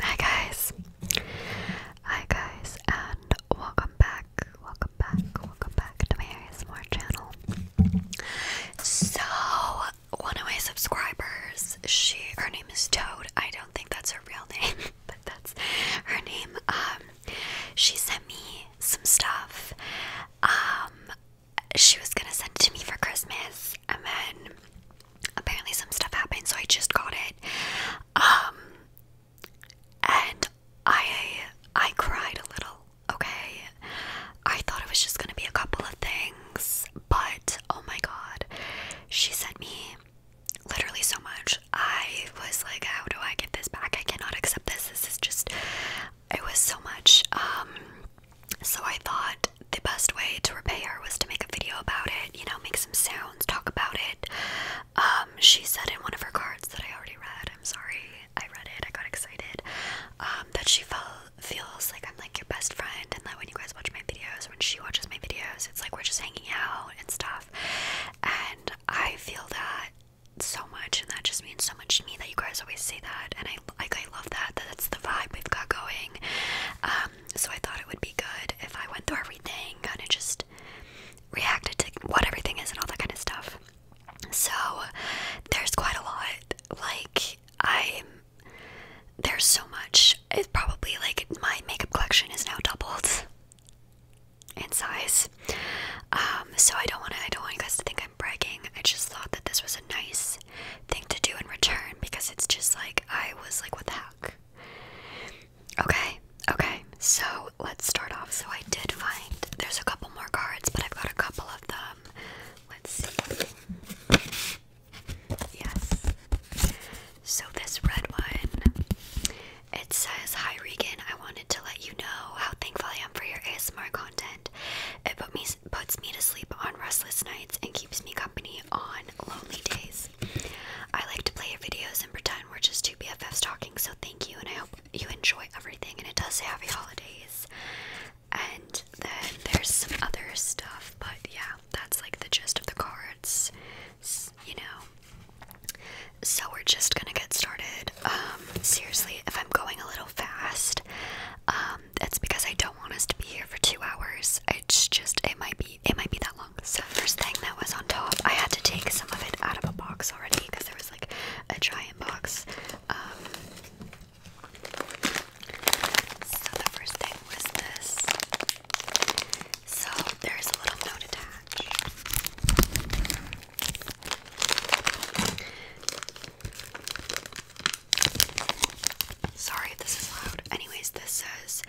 Hi guys. Hi guys and welcome back. Welcome back. Welcome back to my ASMR channel. So one of my subscribers, she her name is Toad. I don't think that's her real name, but that's her name. Um she sent me some stuff. Um she was gonna send it to me for Christmas and then apparently some stuff happened, so I just got it. Um, and I I cried a little. Okay, I thought it was just gonna be a couple of things, but oh my god, she sent me literally so much. I was like, how do I get this back? I cannot accept this. This is just. It was so much. Um, so I thought the best way to repay her was to make a video about it, you know, make some sounds, talk about it. Um, she said in one of her cards that I already read, I'm sorry, I read it, I got excited, um, that she feels like I'm like your best friend and that when you guys watch my videos, when she watches my videos, it's like we're just hanging out and stuff. And I feel that so much and that just means so much to me that you guys always say that and I like I love that, that's the vibe we've got going. Um, so I thought it would be good if I went through everything, kind of just reacted to what everything is and all that kind of stuff. So there's quite a lot. Like I'm there's so much. It's probably like my makeup collection is now doubled in size. Um, so I don't want to. I don't want you guys to think I'm bragging. I just thought that this was a nice thing to do in return because it's just like I was like, what the heck? Okay, okay, so let's start off. So I did find there's a couple more cards, but I've got a couple of them. Let's see. Yes. So this red one, it says, Hi Regan, I wanted to let you know how thankful I am for your ASMR content. It put me, puts me to sleep on restless nights and keeps me company on lonely days. I like to play videos and pretend we're just two BFFs talking, so thank you, and I hope you enjoy everything. And it does say happy holidays. And then there's some other stuff, but yeah, that's like the gist of the cards, you know. So we're just gonna get started. Um, seriously, if I'm going a little fast, um, um, that's because I don't want us to be here for two hours. It's just it might be it might be that long. So first thing that was on top, I had to take some of it out of a box already because there was like a giant box. Um, so the first thing was this. So there's a little note attached. Sorry this is loud. Anyways, this says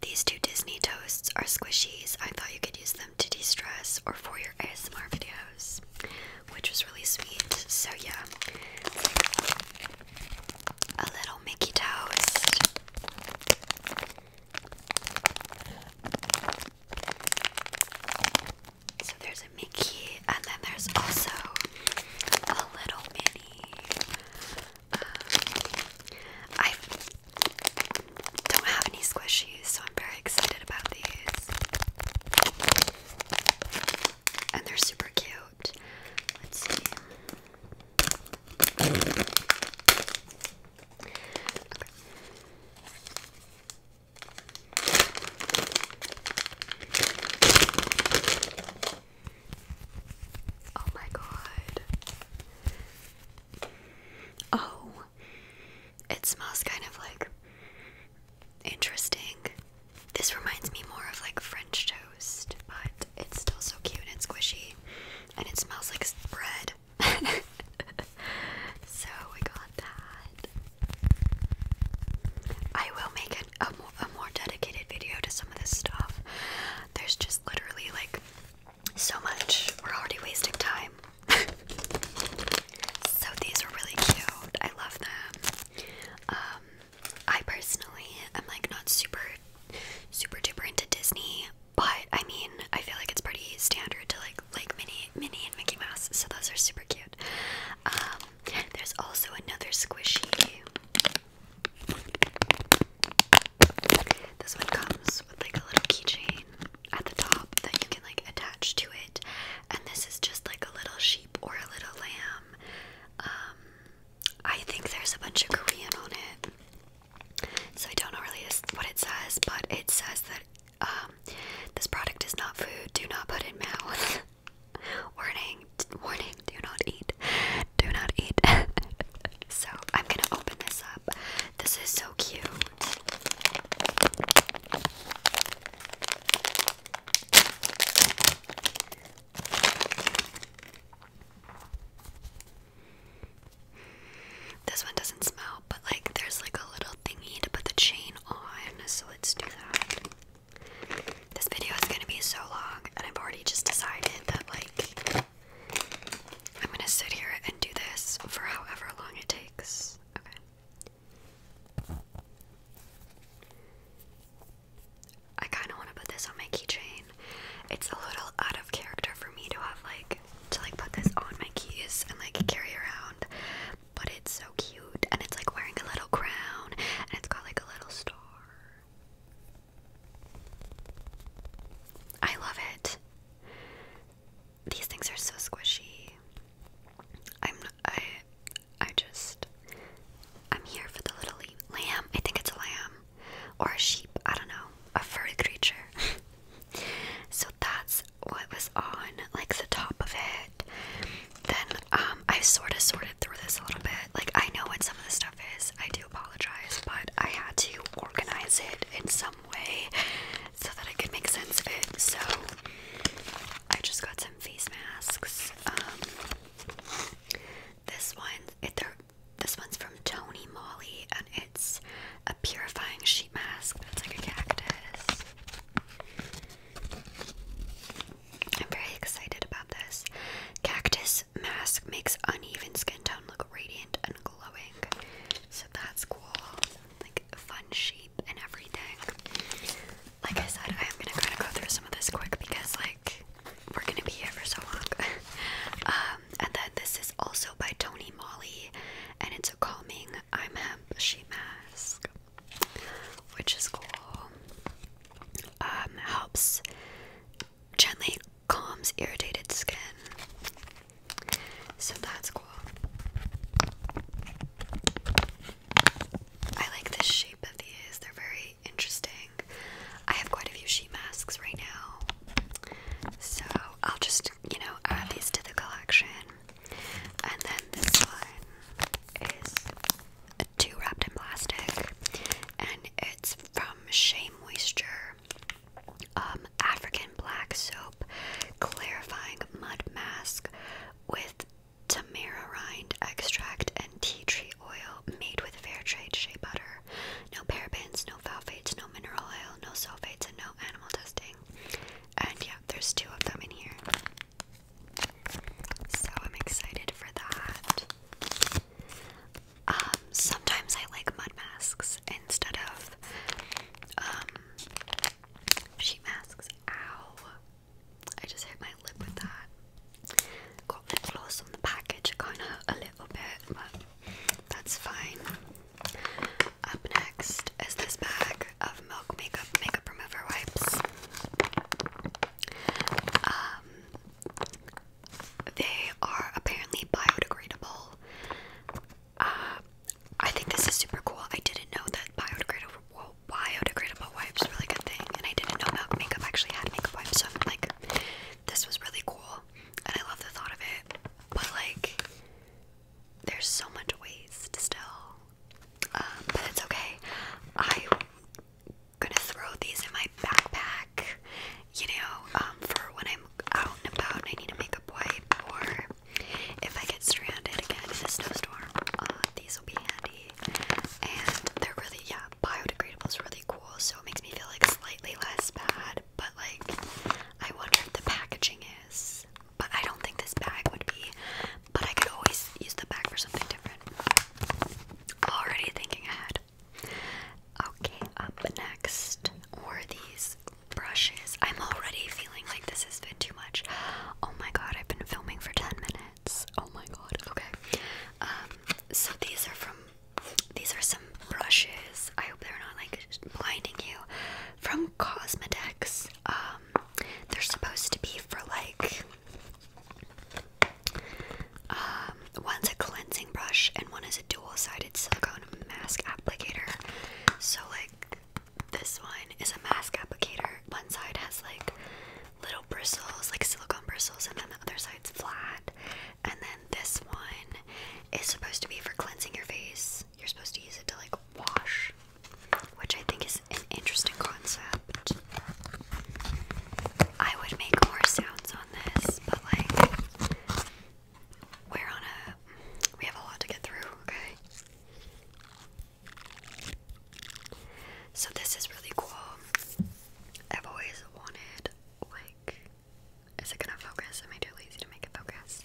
these two Disney toasts are squishies. I thought you could use them to de stress or for your ASMR videos, which was really sweet. So, yeah, a little Mickey toast. So, there's a Mickey, and then there's also a little mini um, I don't have any squishies, so I'm very excited about these. And they're super cute. Let's see. Oh my god. Oh. It smells kind of like interesting. This reminds me more of like French toast, but it's still so cute and squishy. And it smells like bread. so we got that. I will make an, a a more dedicated video to some of this stuff. There's just literally like so much. We're already wasting time. so these are really cute. I love them. Um, I personally am like not super, super duper into Disney, but I mean, I feel like it's pretty standard to like like Minnie, Minnie and Mickey Mouse. So those are super cute. Um, there's also another squishy. This one comes with like a little keychain at the top that you can like attach to it, and this is just like a little sheep or a little lamb. Um, I think there's a bunch of Korean on it, so I don't know really what it says, but it says that um, this product is not food. Do not put in mouth. Warning warning, do not eat. Do not eat. so I'm gonna open this up. This is so cute. This one doesn't smell, but like there's like a little thingy to put the chain on, so let's do that. This video is gonna be so long, and I've already just decided that like I'm gonna sit here and do this for however long it takes. Okay. I kind of want to put this on my keychain. It's a little out of character for me to have like to like put this on my keys and like carry around, but it's so cute and it's like wearing a little crown and it's got like a little star I love it. These things are so squishy. I'm I I just I'm here for the little lamb. I think it's a lamb or a sheep. I don't know. A furry creature. so that's what was on like the top of it. Then um I sort of sorted through this a little bit. Like I know what some of the stuff. I do apologize, but I had to organize it in some way so that I could make sense of it. So I just got some face masks. Um, this one, it, this one's from Tony Molly, and it's a purifying sheet mask that's like a cactus. I'm very excited about this. Cactus mask makes uneven skin look radiant and glowing. So that's cool. Like fun shape and everything. Like I said, I am gonna kind of go through some of this quick because like we're gonna be here for so long. Um, and then this is also by Tony Molly, and it's a calming I'm hemp sheet mask, which is cool. Um, helps gently calms irritated skin. So that's cool. I like the shape of these, they're very interesting. I have quite a few sheet masks right now, so I'll just, you know, add these to the collection. And then this one is a wrapped in plastic, and it's from Shea Moisture. Um, African black soap clarifying mud mask with tamarind extract and tea tree oil made with fair trade shea butter. No parabens, no phthalates, no mineral oil, no sulfates, and no animal testing. And yeah, there's two of them in here. So I'm excited for that. Um, sometimes I like mud masks instead of um, sheet masks. Ow! I just hit my lip with that. Got lip gloss on the package, kind of a little bit, but that's fine. Up next is this bag of Milk Makeup Makeup Remover Wipes. Um, they are apparently biodegradable. Uh, I think this is super cool. I didn't know that biodegradable biodegradable wipes were really good thing, and I didn't know that makeup actually had makeup wipes. So i like, this was really cool, and I love the thought of it. But like, there's so much waste still. Um, but it's okay. I'm gonna throw these in my backpack, you know, um, for when I'm out and about I need a makeup wipe, or if I get stranded again in a snowstorm, uh, these will be handy. And they're really, yeah, biodegradable is really cool, so it makes me feel like slightly less bad. But like, I wonder if the packaging is. But I don't think this bag would be. But I could always use the bag for something different. Already thinking ahead. Okay, up next were these brushes. I'm already feeling like this has been too much. Oh my god, I've been filming for 10 minutes. Oh my god, okay. Um, so these are from, these are some brushes. I hope they're not like blinding you. From Cosmetics. Um, they're supposed to be for like um, one's a cleansing brush and one is a dual-sided silicone mask applicator. So like this one is a mask applicator. One side has like little bristles, like silicone bristles, and then the other side's flat. And then this one is supposed to be for cleansing your face. You're supposed to use it to like wash, which I think is an interesting concept. I would make more sounds on this, but like we're on a. We have a lot to get through, okay? So, this is really cool. I've always wanted, like. Is it gonna focus? Am I too lazy to make it focus?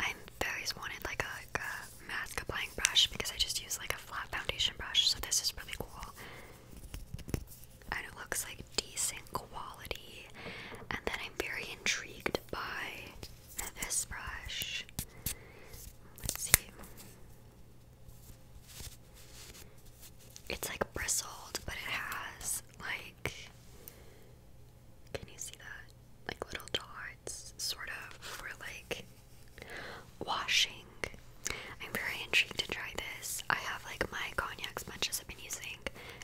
I'm always wanted, like a mask applying brush because I just use, like, a flat foundation brush, so this is really cool and it looks like decent quality. And then I'm very intrigued by this brush. Let's see. It's like bristled, but it has like can you see that? Like little dots, sort of, for like washing. I'm very intrigued to try this. I have like my cognac sponges I've been using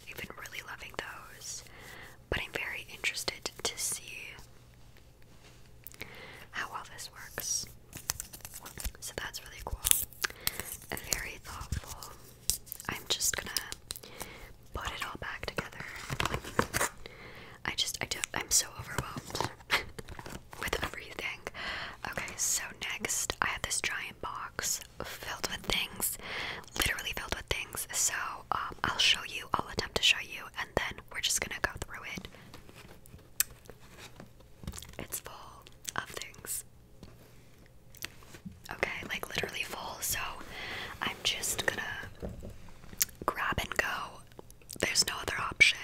I've been really loving those, but I'm very interested to see how well this works. So that's really cool. Very thoughtful. I'm just gonna put it all back together. I just, I do, I'm so overwhelmed with everything. Okay, so next I have this giant box filled with things, literally filled with things. So um, I'll show you, I'll attempt to show you, and then we're just gonna go through it. It's full of things. Okay, like literally full. So I'm just gonna grab and go. There's no other option.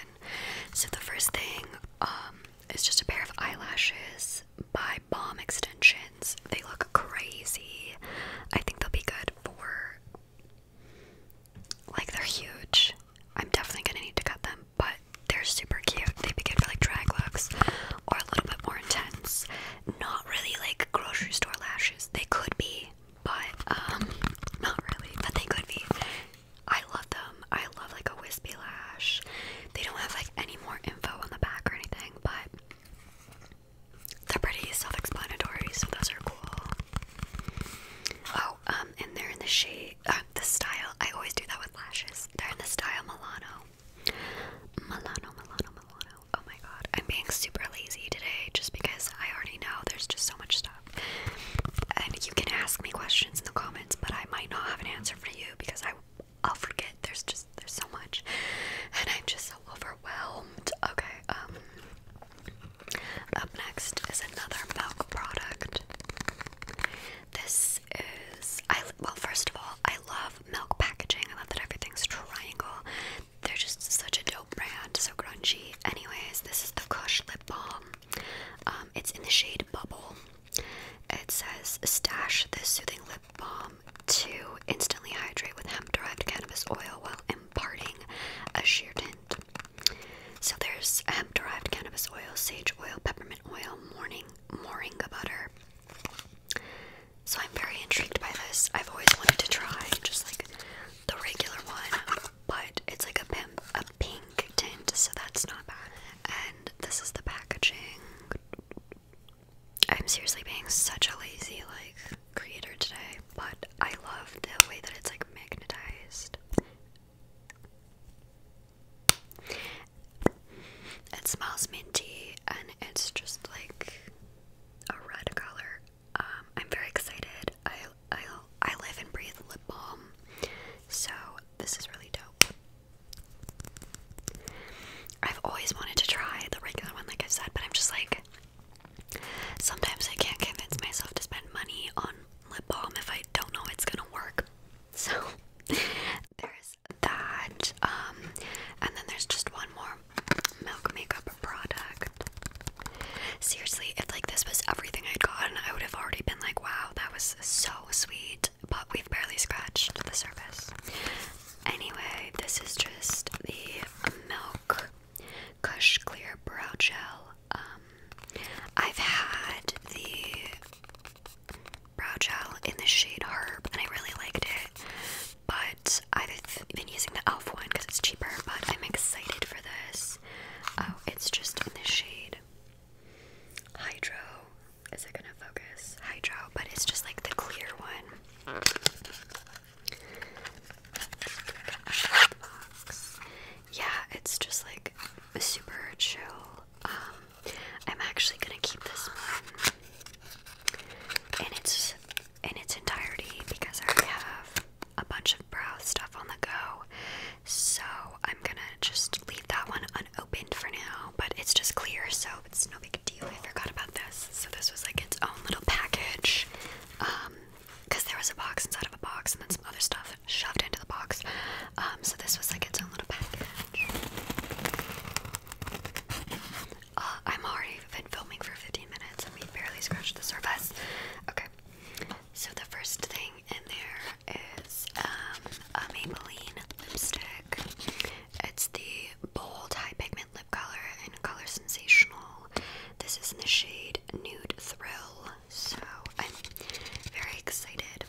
So the first thing um, is just a pair of eyelashes by Bomb extensions. They look crazy. I think they'll be good for like they're huge. I'm definitely gonna need to cut them, but they're super cute. They'd be good for like drag looks or a little bit more intense. Not really like grocery store lashes. They could be, but um not really, but they could be. I love them. I love like a wispy lash. They don't have like any more info on the back or anything, but they're pretty self-explanatory, so those are cool. Oh, um, and they're in the shade, uh, the style. I always do that with lashes. They're in the style Milano. Milano, Milano, Milano. Oh my god, I'm being super lazy today just because I already know there's just so much stuff. And you can ask me questions in the comments, but I might not have an answer for you because I I'll forget. There's just there's so much, and I'm just so overwhelmed. Okay. Um. Up next is another milk product. This is I well first of all I love milk packaging. I love that everything's triangle. They're just such a dope brand, so crunchy. Anyways, this is the Kush lip balm. Um, it's in the shade Bubble. It says stash this soothing lip balm um, to instantly hydrate with hemp derived cannabis oil while imparting a sheer tint. So there's hemp derived cannabis oil, sage oil, peppermint oil, morning moringa butter. So I'm very intrigued by this. I've always wanted to try just like the regular one, but it's like a pimp, a pink tint, so that's not bad. And this is the packaging. I'm seriously being such a lazy like creator today, but I love the way that it's like magnetized. It smells minty and it's just like a red color. Um, I'm very excited. I I I live and breathe lip balm, so this is really dope. I've always wanted to try the regular one, like i said, but I'm just like, sometimes I can't convince myself to spend money on lip balm if I don't know it's gonna work. So there's that. Um, and then there's just one more milk makeup product. Seriously, if like this was everything I'd gotten, I would have already been like, wow, that was so sweet. But we've barely scratched the surface. Anyway, this is just the Milk Kush Clear Brow Gel. Um, I've had the brow gel in the shade Herb, and I really liked it. But I've been using the Elf one because it's cheaper. But I'm excited for this. Oh, it's just in the shade Hydro. Is it gonna focus? Hydro, but it's just like the clear one. Yeah, it's just like a super chill. Um, I'm actually gonna keep this one in its in its entirety because I have a bunch of brow stuff on the go. So I'm gonna just leave that one unopened for now, but it's just clear, so it's no big I forgot about this. So this was like its own little package. because um, there was a box inside of a box and then some other stuff shoved into the box. Um, so this was like its own little package. Uh, i have already been filming for 15 minutes and we barely scratched the surface. Okay. So the first thing in there is um, a Maybelline lipstick. It's the bold high pigment Lip Color and Color Sensational. This is in the shade Nude Thrill. So I'm very excited.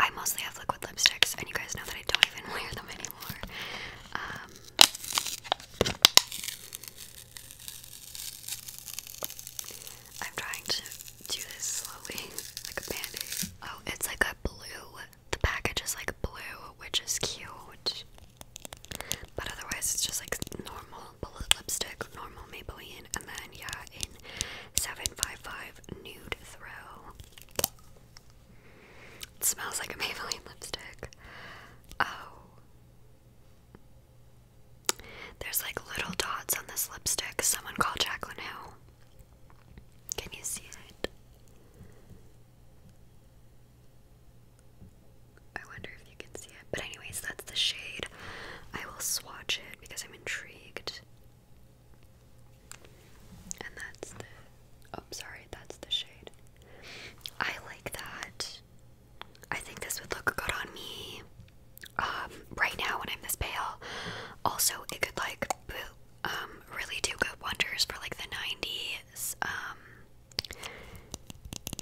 I mostly have liquid lipsticks, and you guys know that I don't even wear them anymore. Um, I'm trying to do this slowly, like a band Oh, it's like a blue the package is like blue, which is cute. But otherwise, it's just like normal bullet lipstick, normal Maybelline, and then yeah, in 755 Nude Throw. smells like a Maybelline lipstick. Oh. There's like little dots on this lipstick. Someone called Jacqueline Hill. Can you see it? I wonder if you can see it. But, anyways, that's the shade. I will swatch it because I'm intrigued. And that's the. Oh, sorry, that's the shade. I like that. I think this would look good on me um, right now when I'm this pale. Also, it could like um, really do good wonders for like the 90s, um,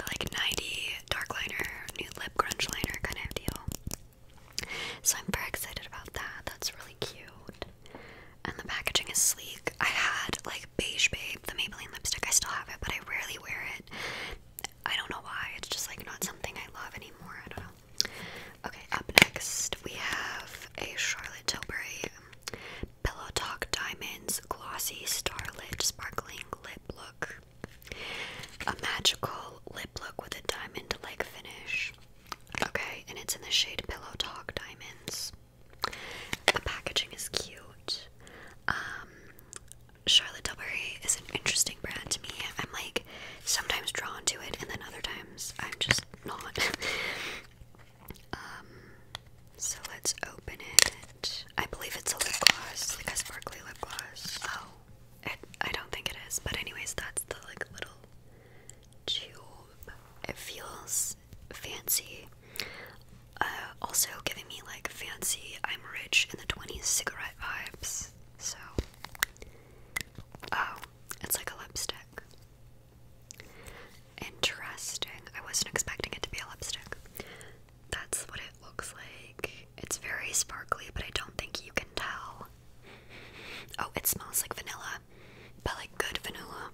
like 90 dark liner, new lip grunge liner kind of deal. So I'm very excited about that. That's really cute. And the packaging is sleek. I had like Beige Babe, the Maybelline lipstick. I still have it, but I rarely wear it. I don't know why. It's just like not something I love anymore. I don't know. Okay, up next we have a Charlotte Tilbury Pillow Talk Diamonds Glossy Starlit Sparkling Lip Look. A magical lip look with a diamond like finish. Okay, and it's in the shade Pillow Talk Diamonds. The packaging is cute. Um, Charlotte Tilbury is an interesting brand to me. I'm like sometimes drawn to it, and then other times I'm just not. Um, so let's open it. I believe it's a lip gloss, like a sparkly lip gloss. Oh, it, I don't think it is, but anyways, that's the like little tube. It feels fancy. Uh, also giving me like fancy, I'm rich in the 20s cigarette vibes. So, oh, it's like a lipstick. Interesting. I wasn't expecting it to be a lipstick. That's what it looks like. It's very sparkly, but I don't think you can tell. Oh, it smells like vanilla, but like good vanilla.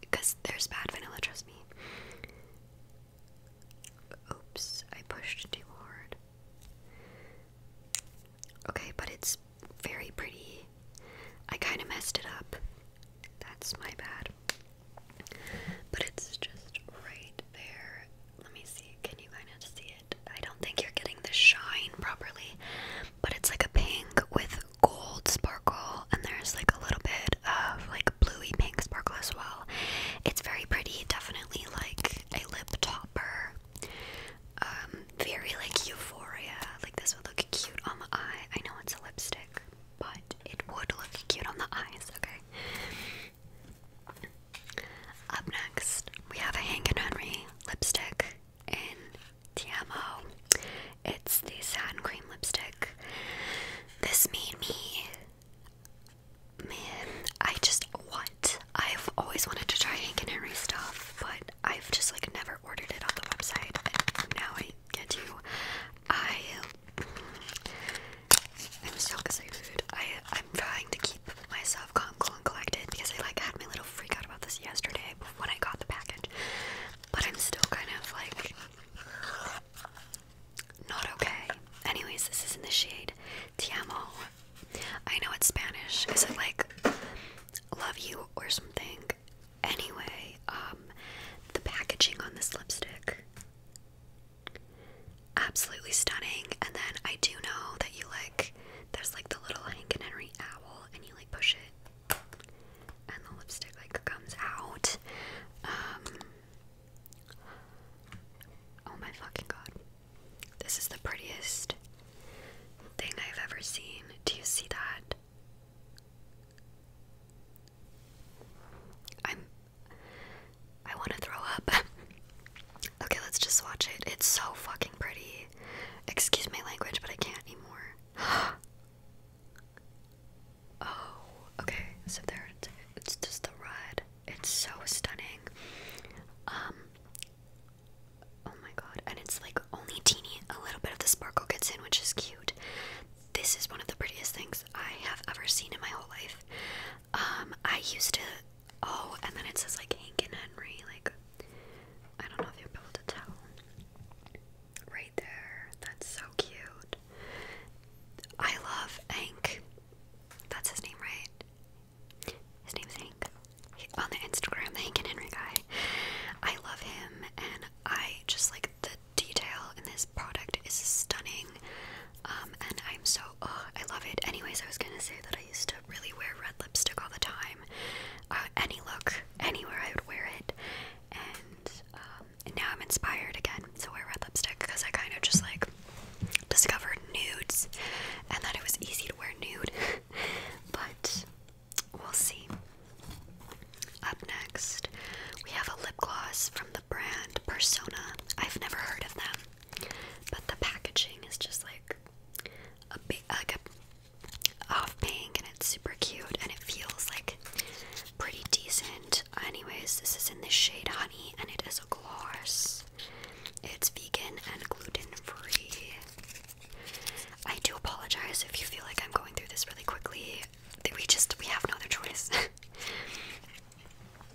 Because there's bad vanilla, trust me. Oops, I pushed too hard. Okay, but it's very pretty. I kind of messed it up. That's my bad. But it's just right there. Let me see. Can you kind of see it? I don't think you're getting the shine properly, but it's like a pink with gold sparkle, and there's like a little bit of like bluey pink sparkle as well. It's very pretty, definitely like a lip topper. Um, very like euphoria. Like this would look cute on the eye. I know it's a lipstick, but it would look cute on the eyes, okay? Up next, we have a Hank and Henry lipstick in TMO. It's the satin cream lipstick. This made me. Man, I just. What? I've always wanted to try Hank and Henry stuff, but I've just like never ordered it on the website. now I get you. I um, I'm so excited. I I'm trying to keep myself calm, cool, and collected because I like had my little freak out about this yesterday when I got the package. But I'm still kind of like not okay. Anyways, this is in the shade Tiamo. I know it's Spanish. Is it like love you or something? Anyway, um, the packaging on this lipstick absolutely stunning. And then I do know that you like there's like the little Hank and Henry owl, and you like push it, and the lipstick like comes out. Um, oh my fucking god, this is the prettiest thing I've ever seen. Do you see that? I'm I want to throw up. okay, let's just watch it. It's so fucking pretty. Excuse my language, but I can't anymore. oh, okay. So there it's, it's just the red. It's so stunning. Um Oh my god. And it's like only teeny a little bit of the sparkle gets in, which is cute this is one of the prettiest things I have ever seen in my whole life. Um, I used to. Oh, and then it says like Hank and Henry. Like, I don't know if you are able to tell. Right there. That's so cute. I love Hank. That's his name, right? His name is Hank. He, on the Instagram, the Hank and Henry guy. I love him, and I just like the detail in this product is stunning, um, and I'm so I love it. Anyways, I was gonna say that I used to really wear red lipstick all the time. Uh, any look, anywhere, I would wear it, and, um, and now I'm inspired again to wear red lipstick because I kind of just like discovered nudes and that it was easy to wear nude, but we'll see. Up next, we have a lip gloss from the brand Persona. I've never heard of them, but the packaging is just like a big, a off pink, and it's super cute, and it feels like pretty decent. Anyways, this is in the shade Honey, and it is a gloss. It's vegan and gluten free. I do apologize if you feel like I'm going through this really quickly we just we have no other choice.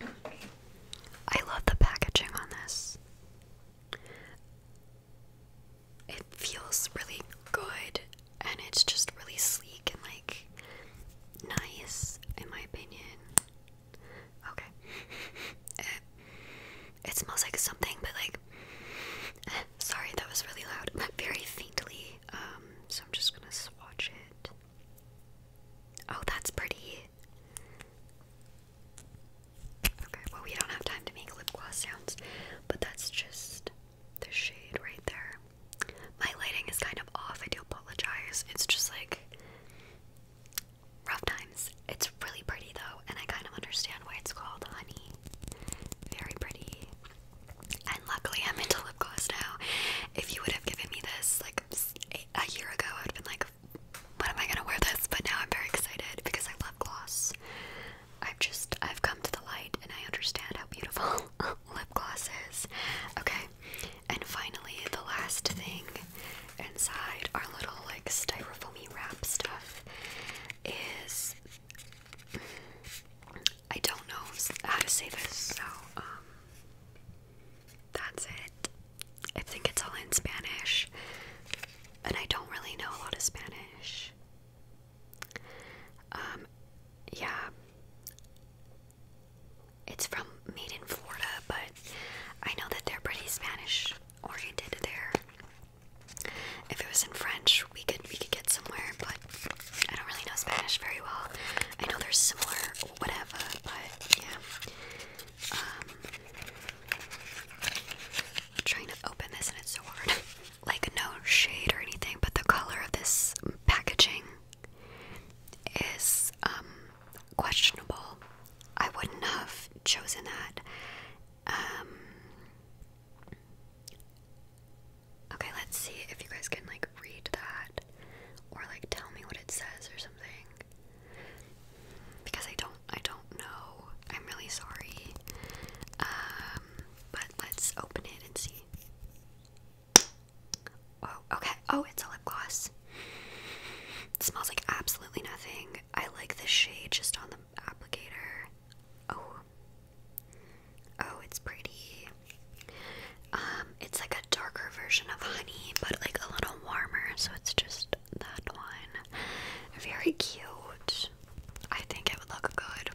I love the packaging on this. It feels really good and it's just really sleek and like nice in my opinion. Okay. It, it smells like something but like sorry that was really loud. But very faintly um, so I'm just gonna swatch it. Oh, that's pretty. Okay, well, we don't have time to make lip gloss sounds, but that's just the shade right there. My lighting is kind of off, I do apologize. It's just like rough times. It's really pretty though, and I kind of understand why it's called honey. Very pretty. And luckily, I'm into lip gloss now. If you would have given me this like a year ago, I'd have been like, "What am I gonna wear this?" But now I'm very excited because I love gloss. I've just I've come to the light and I understand how beautiful lip gloss is. Okay, and finally, the last thing inside our little like styrofoamy wrap stuff is I don't know how to say this, so um, that's it. I think it's all in Spanish, and I don't really know a lot of Spanish. Um, yeah, it's from made in Florida, but I know that they're pretty Spanish oriented there. If it was in French, we could we could get somewhere, but I don't really know Spanish very well. I know there's are similar, whatever, but yeah. Um, I'm trying to open this and it's so hard. like, no shade or anything, but the color of this packaging is um, questionable. I wouldn't have chosen that. Um, Okay, let's see if you guys can like read that or like tell me what it says or something. Because I don't I don't know. I'm really sorry. Um but let's open it and see. Oh, okay. Oh, it's a lip gloss. smells like absolutely nothing. I like the shade just on the applicator. Oh, Oh, it's pretty. Um, it's like a darker version of honey, but like a little warmer, so it's just that one. Very cute. I think it would look good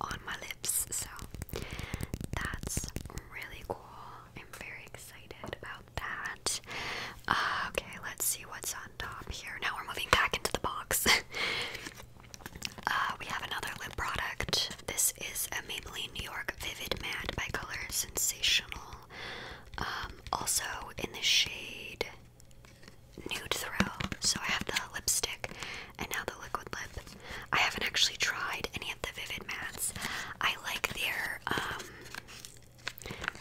on my lips, so that's really cool. I'm very excited about that. Uh, okay, let's see what's on top here. Now we're moving back into the box. Uh, we have another lip product. This is a Maybelline New York Vivid Matte by Color Sensational. Um, also in the shade Nude Throw. So I have the lipstick and now the liquid lip. I haven't actually tried any of the Vivid Mattes. I like their um,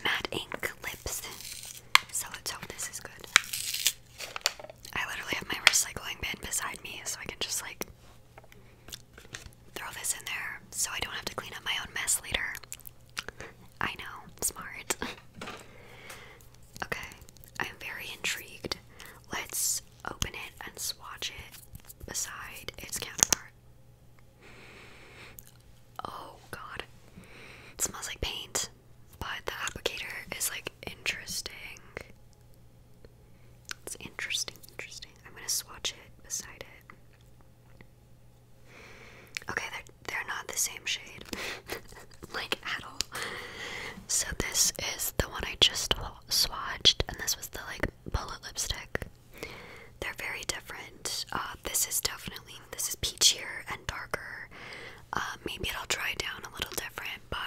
matte ink lips. So let's hope this is good. I literally have my recycling bin beside me so I can just like Throw this in there so I don't have to clean up my own mess later. I know, smart. okay, I'm very intrigued. Let's open it and swatch it beside its counterpart. Oh god. It smells like paint, but the applicator is like interesting. It's interesting, interesting. I'm gonna swatch it beside it. Okay, they're they're not the same shade, like at all. So this is the one I just swatched, and this was the like bullet lipstick. They're very different. Uh, this is definitely this is peachier and darker. Uh, maybe it'll dry down a little different, but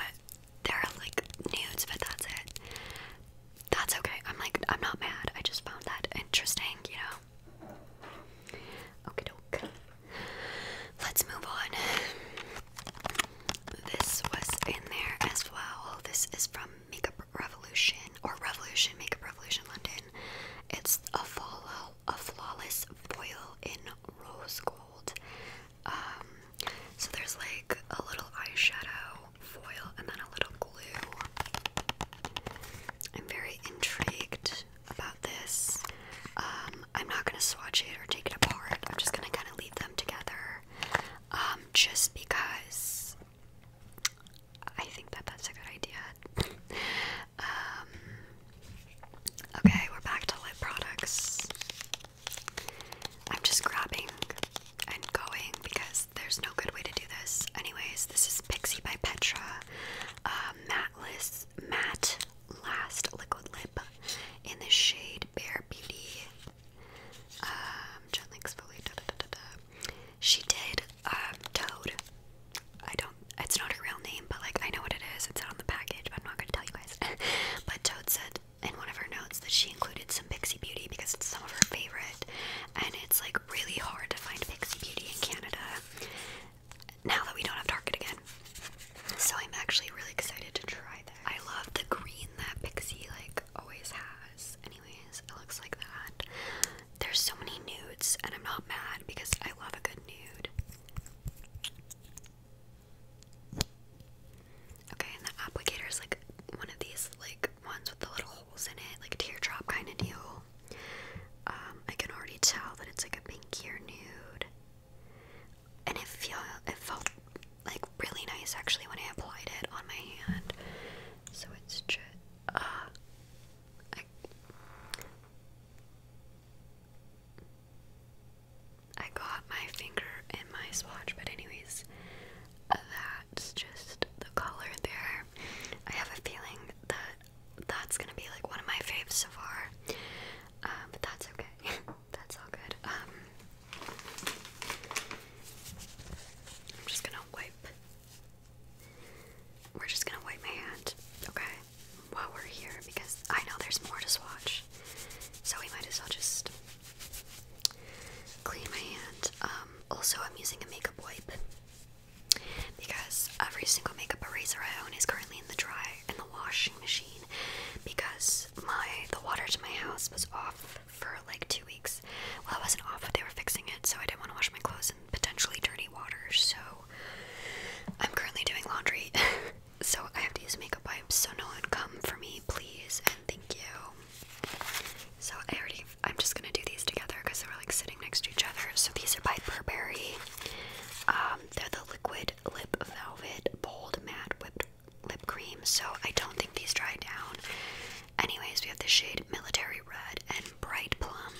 there are like nudes, but that's it. That's okay. I'm like, I'm not mad. I just found that interesting, you know? Okay, doke. Let's move on. This was in there as well. This is from Makeup Revolution or Revolution, Makeup Revolution London. It's a, fall, a flawless foil in rose gold. Um, so there's like a little eyeshadow foil and then a little glue. I'm very intrigued about this. Um, I'm not gonna swatch it or take it apart. I'm just gonna kind of leave them together, um, just because I think that that's a good idea. okay, we're back to lip products. I'm just grabbing and going because there's no good way to do this. Anyways, this is Pixie by Petra, uh, matteless, matte last liquid lip in the shade Bare Beauty. Um, She did um, Toad. I don't. It's not a real name, but like I know what it is. It's on the package, but I'm not gonna tell you guys. but Toad said in one of her notes that she included some Pixie Beauty because it's some of her favorite, and it's like really hard to find Pixie Beauty in Canada now that we don't have Target again. So I'm actually really excited to try that. I love the green that Pixie like always has. Anyways, it looks like that. There's so many nudes, and I'm not mad because I love a good nude. Okay, and the applicator is like one of these like ones with the little holes in it, like teardrop kind of deal. Um, I can already tell that it's like a pinky or nude, and it feel it felt like really nice actually when I applied it on my hand. So it's just uh, I I got my finger in my swatch, but anyways, that's just the color there. I have a feeling that that's gonna be like one of my faves so far, um, but that's okay. that's all good. Um, I'm just gonna wipe. We're just gonna wipe my hand, okay, while we're here because I know there's more to swatch, so we might as well just Clean my hand. Um, also, I'm using a makeup wipe because every single makeup eraser I own is currently in the dry in the washing machine because my the water to my house was off for like two weeks. Well, it wasn't off, but they were fixing it, so I didn't want to wash my clothes in potentially dirty water. So I'm currently doing laundry, so I have to use makeup wipes. So no one come for me, please, and thank you. So I already, I'm just gonna do these together because they were like sitting next to each other. So these are by Burberry. Um, they're the liquid lip velvet bold matte whipped lip cream. So I don't think these dry down. Anyways, we have the shade military red and bright plum.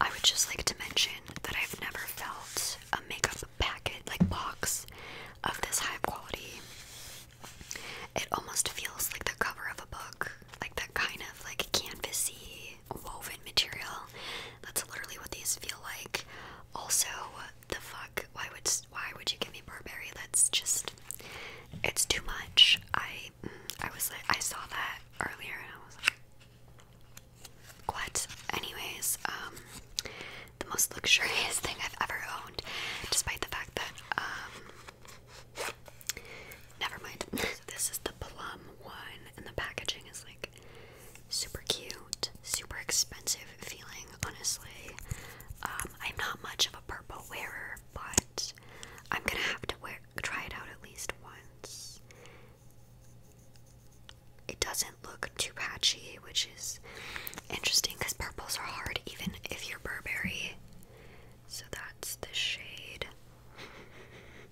I would just like to mention that I've never felt a makeup packet like box of this high quality. It almost feels like the cover of a book, like that kind of like canvasy woven material. That's literally what these feel like. Also, the fuck? Why would why would you give me Burberry? That's just it's too much. I mm, I was like I saw that earlier and I was like, what? Anyways, um, the most luxurious thing I've ever owned, despite the fact that um Never mind. this is the plum one, and the packaging is like super cute, super expensive feeling, honestly. Um, I'm not much of a purple wearer, but I'm gonna have to wear try it out at least once. It doesn't look too patchy, which is interesting because purples are hard even if you're Burberry so that's the shade.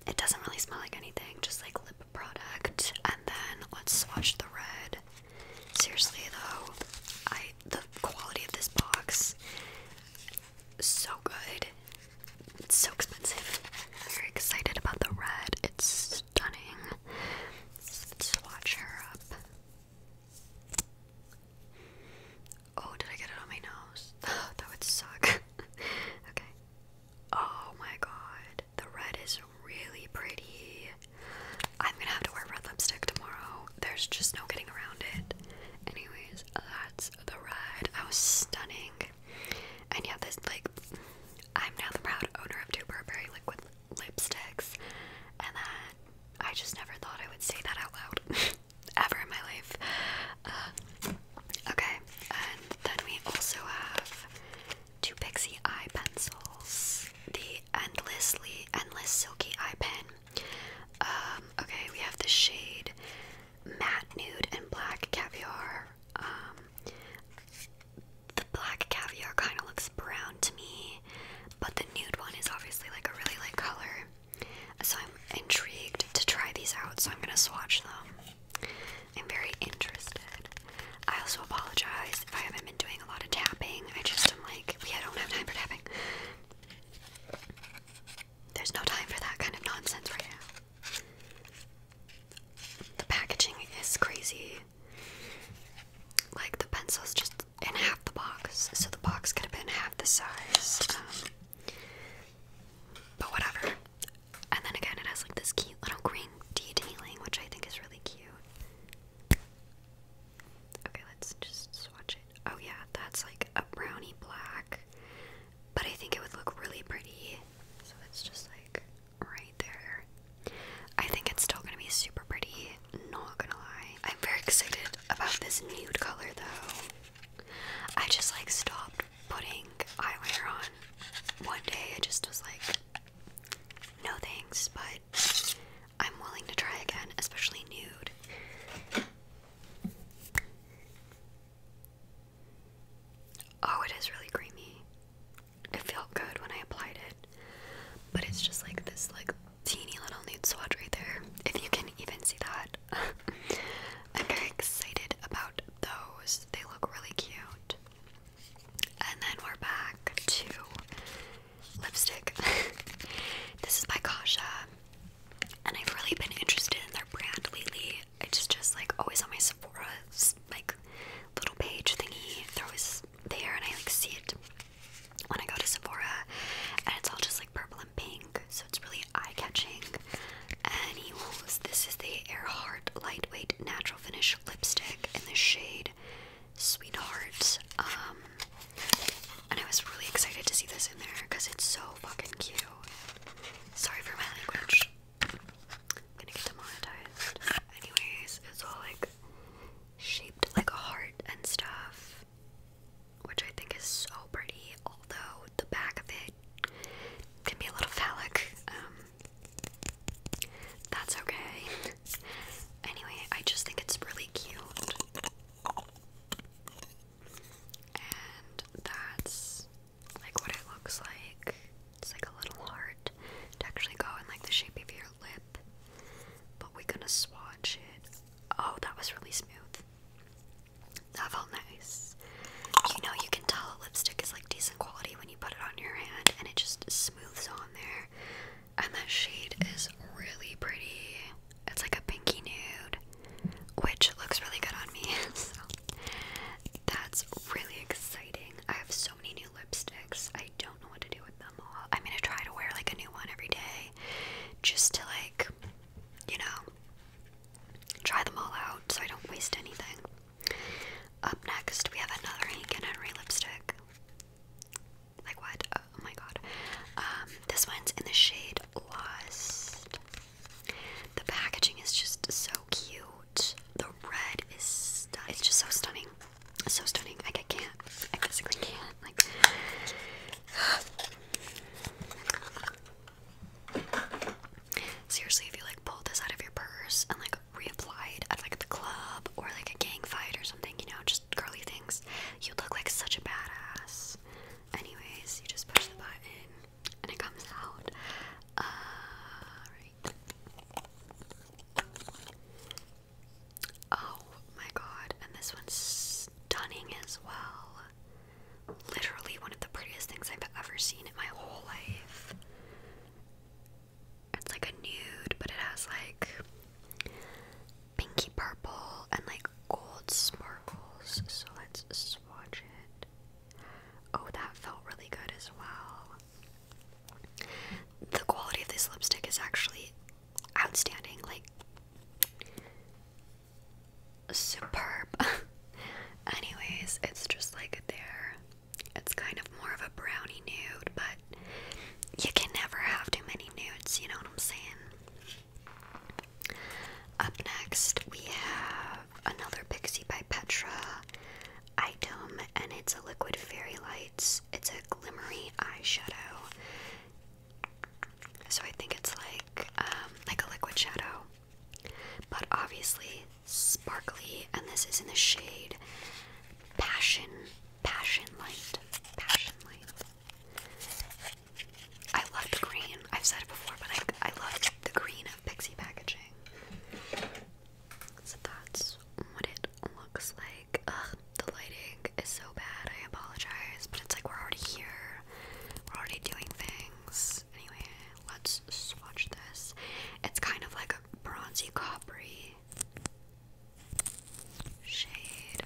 It doesn't really smell like anything, just like lip product. And then let's swatch the red. Seriously though, I the quality of this box so good. It's so expensive. very excited about the red. It's stunning. Let's swatch her up. Oh, did I get it on my nose? Oh, that would suck. okay. Oh my god. The red is really pretty. I'm gonna have to wear red lipstick tomorrow. There's just no getting around it. Anyways, that's the red. That stunning. And yeah, this, like, I'm now the proud owner of two Burberry liquid lipsticks. And that I just never thought I would say that out loud ever in my life. Uh, okay, and then we also have two Pixie eye pencils, the endlessly endless silky eye pen. Um, okay, we have the shade matte nude and black caviar. Um, the black caviar kind of looks brown to me, but the nude one is obviously like a really light color. So I'm intrigued to try these out, so I'm gonna swatch them. I'm very interested. I also apologize if I haven't been doing a lot of tapping. I just am like, we don't have time for tapping. There's no time for that kind of nonsense right now. The packaging is crazy. Like the pencils just in half the box, so the box could have been half the size. Um, but whatever. And then again, it has like this cute little green detailing, which I think is really cute. Okay, let's just swatch it. Oh yeah, that's like a brownie black, but I think it would look really pretty. So it's just like right there. I think it's still gonna be super pretty not gonna lie. I'm very excited about this nude color though. I just like stopped putting eyewear on one day. I just was like, no thanks, but I'm willing to try again, especially nude. Oh, it is really creamy. It felt good when I applied it, but it's just like this like teeny little nude swatch right there, if you can even see that. I'm very excited about those. They look really cute. And then we're back to lipstick. this is by Kasha. And I've really been interested in their brand lately. I just like always on my Sephora like little page thingy. They're there and I like see it when I go to Sephora, and it's all just like purple and pink, so it's really eye catching. Anyways, this is the Airheart Lightweight Natural Finish Lipstick in the shade Sweetheart. Um, and I was really excited to see this in there because it's so fucking cute. Sorry for my language. gonna get demonetized. Anyways, it's all like shaped like a heart and stuff which I think is so pretty, although the back of it can be a little phallic. Um, that's okay. anyway, I just think it's really cute. And that's like what it looks like. It's like a little heart to actually go in like the shape of your lip. But we're gonna swatch it. Oh, that was really smooth. That felt nice. You know, you can tell lipstick is like decent quality when you put it on your hand and it just smooths on there. And that shade is really pretty. It's like a pinky nude, which looks really good on me. so that's really exciting. I have so many new lipsticks. I don't know what to do with them all. I'm gonna try to wear like a new one every day just to like you know, try them all out so I don't waste anything. Up next, we have another Hank Henry lipstick. Like what? Oh, my god. Um, this one's in the shade Lost. The packaging is just so cute. The red is It's just so stunning. So stunning. I can't. I physically can't. Like Seriously, if you like pulled this out of your purse and like reapplied at like the club or like a gang fight or something, you know, just girly things, you look like such a badass. Anyways, you just push the button and it comes out. Uh, oh my god, and this one's stunning as well literally one of the prettiest things I've ever seen in my whole life. It's like a nude, but it has like pinky purple and like gold sparkles. So let's swatch it. Oh, that felt really good as well. The quality of this lipstick is actually outstanding. Like, superb. Anyways, it's just like there. It's kind of more of a brownie nude, but you can never have too many nudes, you know what I'm saying? Up next, we have another Pixie by Petra item, and it's a liquid fairy lights. It's a glimmery eyeshadow. So I think it's like um, like a liquid shadow, but obviously sparkly. And this is in the shade Passion, Passion Light, Passion Light. I love the green. I've said it before, but I I love the green of Pixie packaging. So that's what it looks like. the lighting is so bad. I apologize, but it's like we're already here. We're already doing things. Anyway, let's swatch this. It's kind of like a bronzy coppery shade.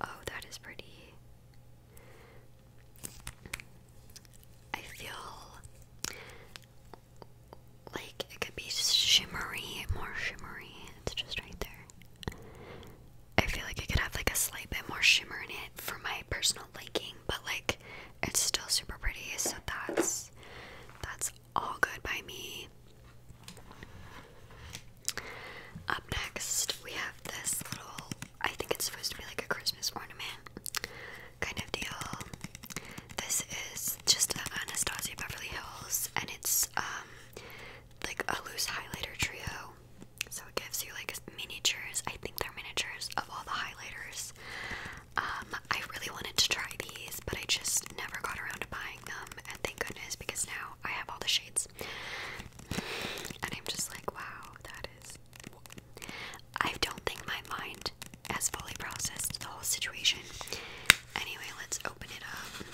Oh, that is pretty. I feel like it could be shimmery, more shimmery. It's just right there. I feel like it could have like a slight bit more shimmer in it for my personal liking, but like it's still super pretty, so that's that's all good by me. Up next, we have this little I think it's supposed to be like a Christmas ornament kind of deal. This is just Anastasia Beverly Hills and it's um like a loose highlighter trio. So it gives you like miniatures. I think they're miniatures of all the highlighters. Um, I really wanted to try these, but I just never got around to buying them. And thank goodness because now I have all the shades. And I'm just like, wow, that is. I don't think my mind has fully processed the whole situation. Anyway, let's open it up.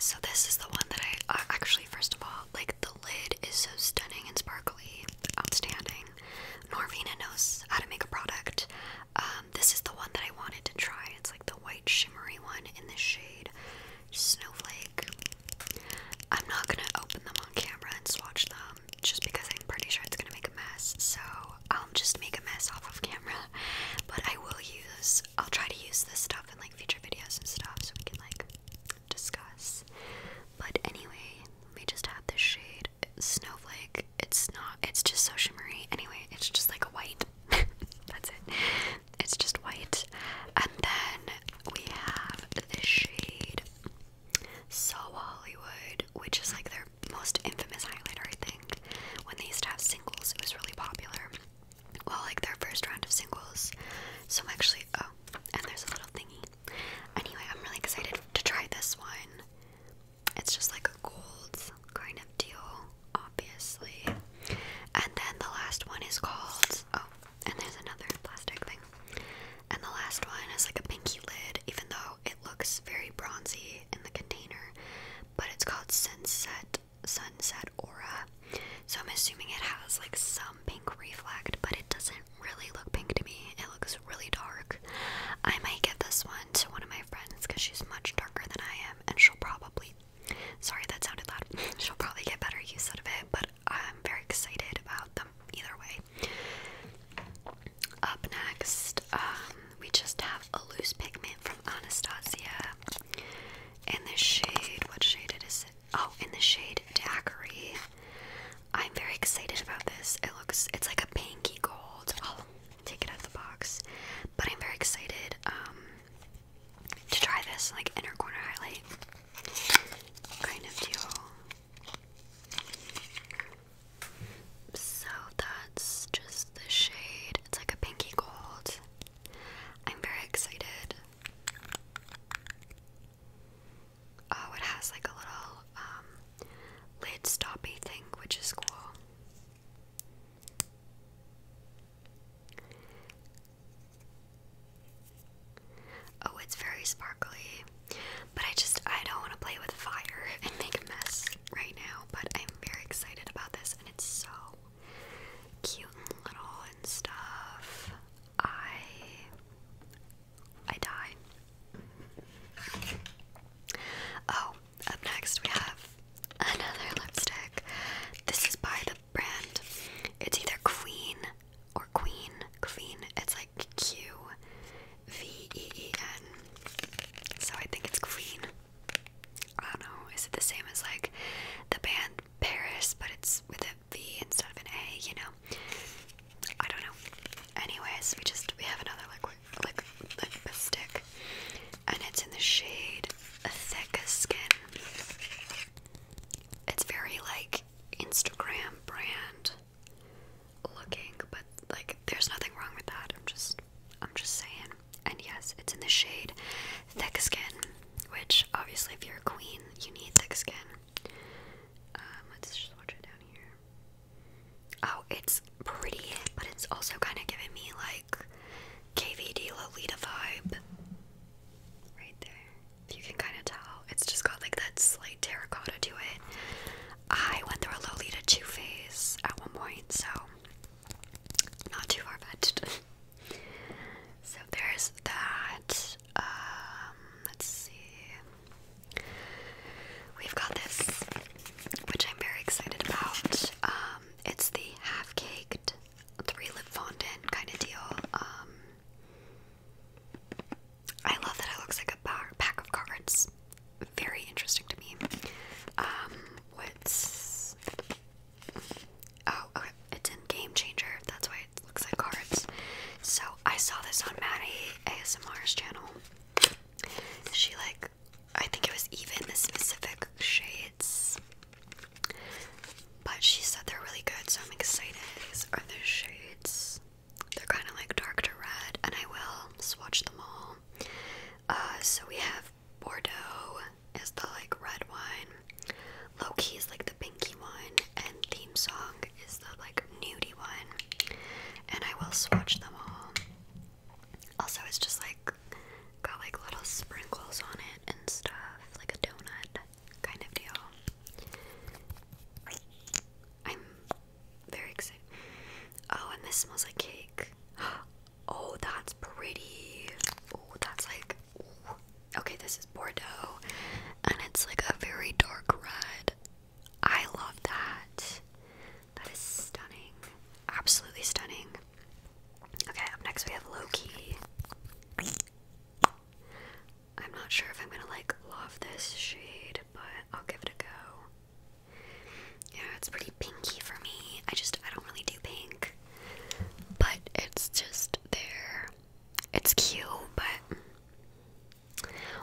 So this is the one that I actually, first of all, like the lid is so stunning and sparkly, outstanding. Norvina knows how to make a product. Um, this is the one that I wanted to try. It's like the white shimmery one in the shade Snowflake. I'm not gonna open them on camera and swatch them just because I'm pretty sure it's gonna make a mess. So I'll just make a mess off of camera. But I will use, I'll try to use this stuff stuff like future videos and stuff so we can like discuss. But anyway, we just have this shade snowflake. It's not it's just so shimmery. Anyway, it's just like a white. That's it. It's just white. And then we have this shade So Hollywood, which is like their most infamous highlighter, I think. When they used to have singles, it was really popular well, like their first round of singles. So I'm actually, oh, and there's a little thingy. Anyway, I'm really excited to try this one. It's just like a gold kind of deal, obviously. And then the last one is called, oh, and there's another plastic thing. And the last one is like a pinky lid, even though it looks very bronzy in the container, but it's called Sunset sunset aura. So I'm assuming it has like some pink reflect, but it doesn't really look pink to me. It looks really dark. I might give this one to one of my friends because she's much darker than I am, and she'll probably sorry that sounded loud. she'll probably get better use out of it, but I'm very excited about them either way. Up next, um, we just have a loose pigment from Anastasia. In the shade, what shade is it? Oh, in the shade Daiquiri. I'm very excited about this. It looks, it's like a pinky gold. I'll take it out of the box. But I'm very excited um, to try this, like inner corner highlight kind of deal. So that's just the shade. It's like a pinky gold. I'm very excited. Oh, it has like a little um, lid stoppy thing, which is cool. Oh, it's very sparkly. But I just, I don't want to play with fire and make a mess right now. But I'm very excited about this, and it's so cute and little and stuff. I I die. Oh, up next we have another lipstick. This is by the brand. It's either Queen or Queen. Queen. It's like Q V E E N. So I think it's Queen. I don't know. Is it the same as like the band Paris, but it's with a V instead of an A, you know. I don't know. Anyways, we just we have another liquid like lipstick and it's in the shade Thick Skin. It's very like Instagram brand looking, but like there's nothing wrong with that. I'm just I'm just saying. And yes, it's in the shade thick skin, which obviously, if you're a queen, you need thick skin. Um, let's just watch it down here. Oh, it's pretty, but it's also kind of giving me like KVD Lolita vibe. Right there. You can kind of tell. It's just got like that slight terracotta to it. I went through a Lolita 2 phase at one point, so not too far fetched. So there's that. Um, let's see. We've got this, which I'm very excited about. Um, it's the half caked three lip fondant kind of deal. Um, I love that it looks like a bar pack of cards. Very interesting to me. what's Oh, okay. It's in Game Changer. That's why it looks like cards. So I saw this on Maddie ASMR's channel. She like, I think it was even the specific shades, but she said they're really good. So I'm excited. are the shades. They're kind of like dark to red, and I will swatch them all. Uh, so we have Bordeaux, is the like red one. Low key is like the pinky one, and theme song is the like nudie one. And I will swatch them all. Also, it's just like got like little sprinkles on it and stuff, like a donut kind of deal. I'm very excited. Oh, and this smells like cake. Oh, that's pretty. Oh, that's like okay, this is Bordeaux, and it's like a very dark red. I love that. That is stunning. Absolutely stunning. Okay, next we have Loki. I'm not sure if I'm gonna like love this shade, but I'll give it a go. Yeah, it's pretty pinky for me. I just I don't really do pink. But it's just there. It's cute, but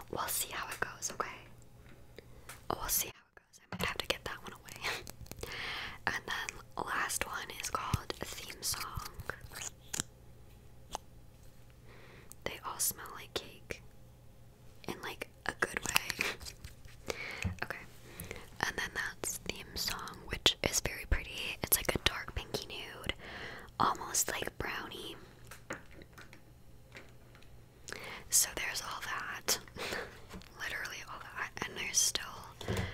we'll see how it goes, okay? We'll see how it goes. I might have to get that one away. and then last one is called Theme Song. They all smell like cake. In like a good way. okay. And then that's theme song. Um, which is very pretty. It's like a dark pinky nude, almost like brownie. So there's all that. Literally all that. And there's still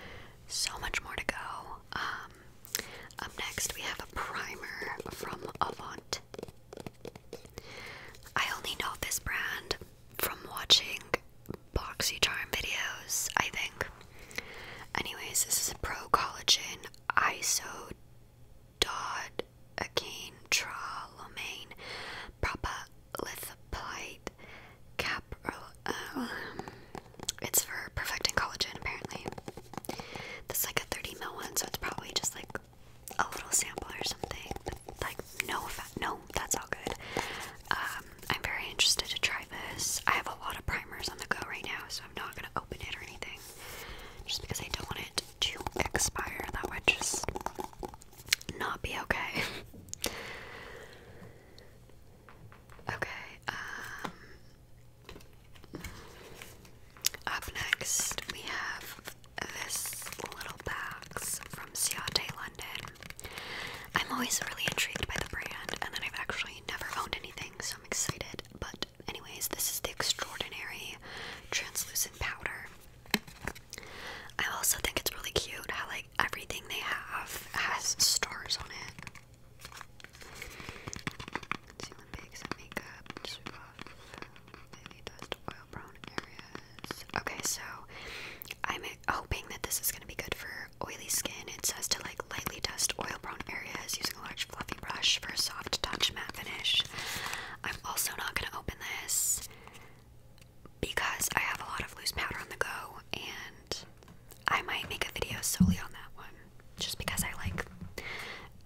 so much more to go. Um, up next we have a primer from Avant. I only know this brand from watching Boxy Charm videos, I think. Anyways, this is a pro collagen iso dod again trolomane propalithoplite cap uh, um, it's for perfecting collagen apparently. That's like a 30 mil one, so it's probably just like a little sample or something. like no no, that's all good. Um, I'm very interested to try this. I have a lot of primers on the go right now, so I'm not gonna open it or anything. Just because I don't want it to expire. That would just not be okay. okay, um, up next we have this little box from Ciate London. I'm always really intrigued by the brand and then I've actually never owned anything I'm excited. But, anyways, this is the Extraordinary Translucent Powder. I also think it's really cute how, like, everything they have has stars on it. Okay, so I'm hoping that this is going to be good for oily skin, it says to like lightly dust oil prone areas using a large fluffy brush for a soft touch matte finish. I'm also not going to open this because I have a lot of loose powder on the go and I might make a video solely on that one just because I like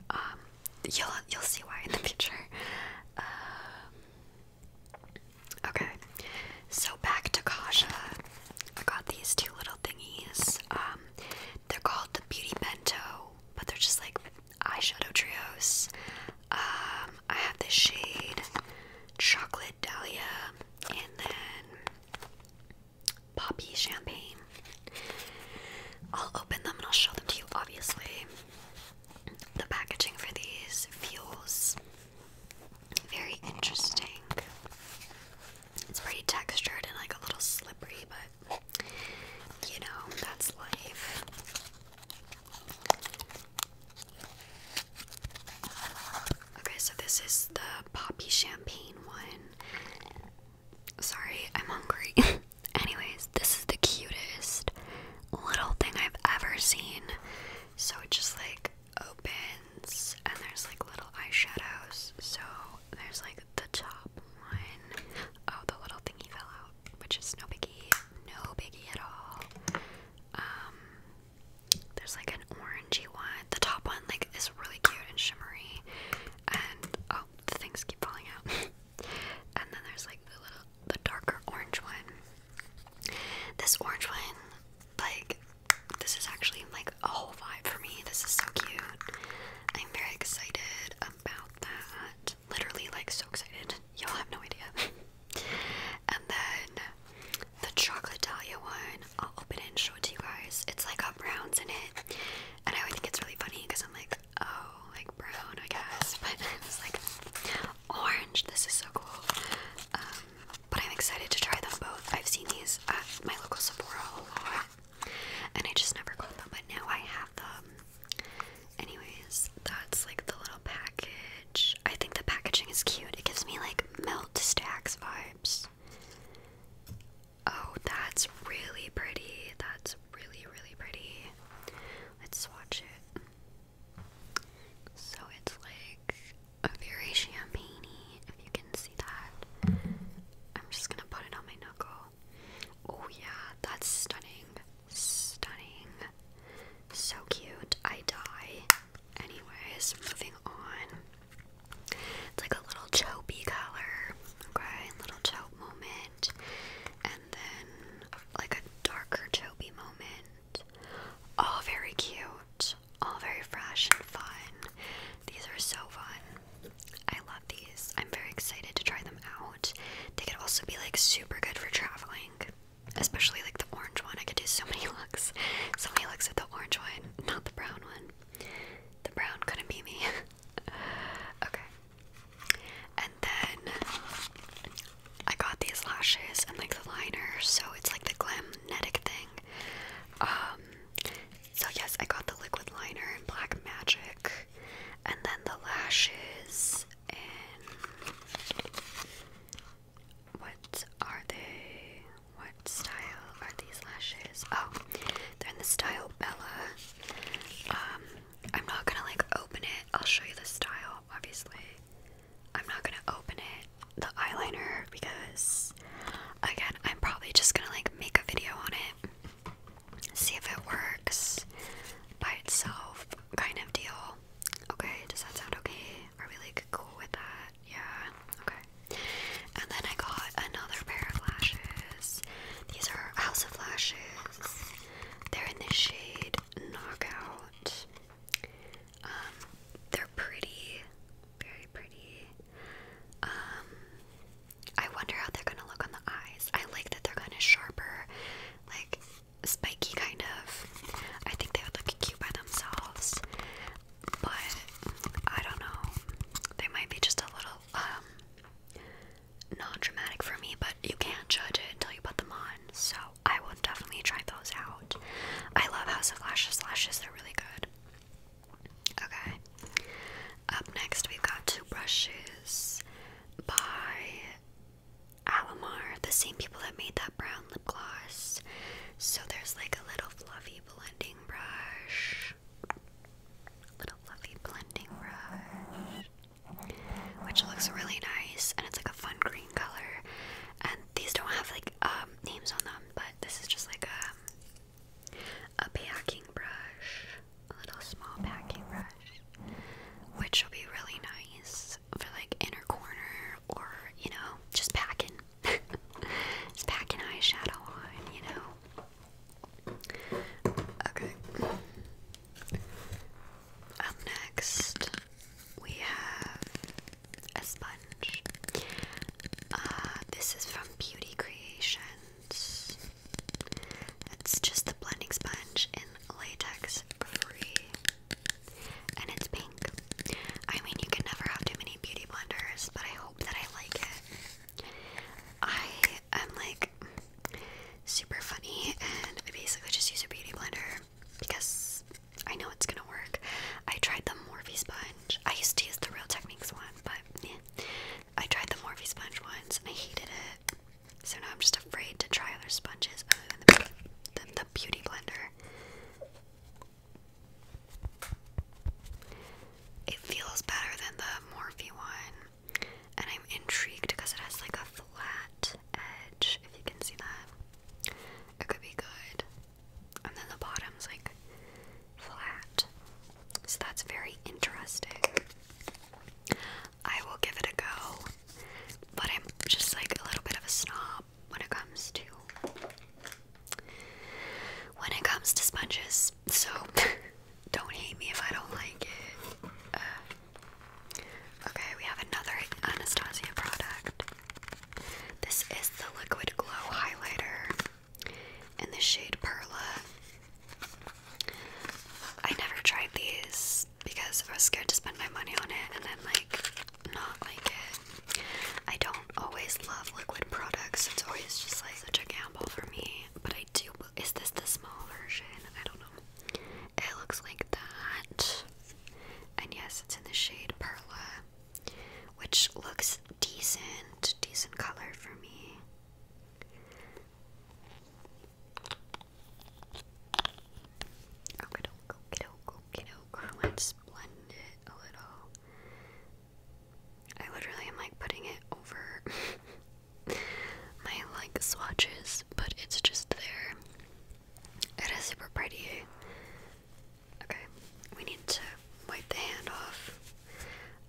um you'll you'll see why in the future. Um, okay, so back to Kaja. I got these two little thingies. Um, they're called the Beauty Bento, but they're just like eyeshadow trios. Um, I have this shade Chocolate Dahlia and then Poppy Champagne. I'll open them and I'll show them to you, obviously. The packaging for these feels very interesting. It's pretty textured and like a little slippery, but you know, that's life. Okay, so this is the poppy champagne one. Sorry, I'm hungry. Anyways, this is the cutest little thing I've ever seen. So it just like opens and there's like little eyeshadows. So there's like the top one. Oh, the little thingy fell out, which is no biggie, no biggie at all. Um, there's like an orangey one. The top one like is really cute and shimmery, and oh, the things keep falling out. and then there's like the little, the darker orange one. This orange one, like this is actually like a whole vibe for me. This is so cute. I'm very excited about that. Literally, like, so excited. Y'all have no idea. and then the chocolate Dahlia one, I'll open it and show it to you guys. It's like a browns in it. And I think it's really funny because I'm like, oh, like brown, I guess. But it was like orange. This is so cool. Um, but I'm excited to try them both. I've seen these at my local Sephora a lot. And I just never got them, but now I have them. Anyways, that's like the little package. I think the packaging is cute. It gives me like melt stacks vibes. Oh, that's really pretty. That's really, really pretty. Let's swatch it. So it's like a very champagne if you can see that. I'm just gonna put it on my knuckle. Oh, yeah, that's stunning. Stunning. So cute. I die. Anyways, moving on. It's like a little chopey color. Okay, little chope moment. And then like a darker chopey moment. All very cute. All very fresh and fun. These are so fun. I love these. I'm very excited to try them out. They could also be like super good for traveling, especially like the orange one. I could do so many looks. So many looks at the orange one, not the brown one. The brown couldn't be me. okay. And then I got these lashes and like the liner, so it's like the glamnetic thing. Um so yes, I got the liquid liner in Black Magic, and then the lashes in what are they? What style are these lashes? Oh, they're in the style Bella. Um, I'm not gonna like open it. I'll show you the style, obviously. I'm not gonna open it, the eyeliner, because again, I'm probably just gonna like make a video on it see if it works by itself kind of deal. Okay, does that sound okay? Are we like cool with that? Yeah, okay. And then I got another pair of lashes. These are House of Lashes. They're in the shade Knockout. Um, they're pretty, very pretty. Um, I wonder how they're gonna look on the eyes. I like that they're kind of sharper, like spiky kind of. I think they would look cute by themselves, but I don't know. They might be just a little um non-dramatic for me, but you can't judge it until you put them on. So I will definitely try those out. I love House of Lashes lashes. They're really good. Okay. Up next, we've got two brushes by Alamar, the same people that made that brown lip gloss. So there's like a little fluffy blending brush, little fluffy blending brush, which looks really nice, and it's like a fun green color. And these don't have like um, names on them, but this is just like a um, a packing brush, a little small packing brush, which will be really nice for like inner corner or you know, just packing, just packing eyeshadow on, you know. Okay. Up next, we have a sponge. Uh, this is from Beauty Creation. It's just a blending sponge in latex free. And it's pink. I mean, you can never have too many beauty blenders, but I hope that I like it. I am like super funny and I basically just use a beauty blender because I know it's gonna work. I tried the Morphe sponge. I used to use the Real Techniques one, but yeah. I tried the Morphe sponge once and I hated it. So now I'm just afraid to try other sponges other than the, the beauty blender. It feels better than the Morphe one. And I'm intrigued because it has like a flat edge, if you can see that. It could be good. And then the bottom's like flat. So that's very interesting. I will give it a go, but I'm just like a little bit of a snob when it comes to when it comes to sponges. So don't hate me if I don't like it. Uh, okay, we have another Anastasia product. This is the Liquid Glow highlighter in the shade Perla. I never tried these because I was scared to spend my money on it and then like not like it. I don't always love liquid products. It's always just like such a gamble for me. But I do. Is this the small version? I don't know. It looks like that. And yes, it's in the shade Perla, which looks decent, decent color for me. Okay, go, get okay, Let's blend it a little. I literally am like putting it over my like swatches, but it's just there. It is super pretty. Okay, we need to wipe the hand off.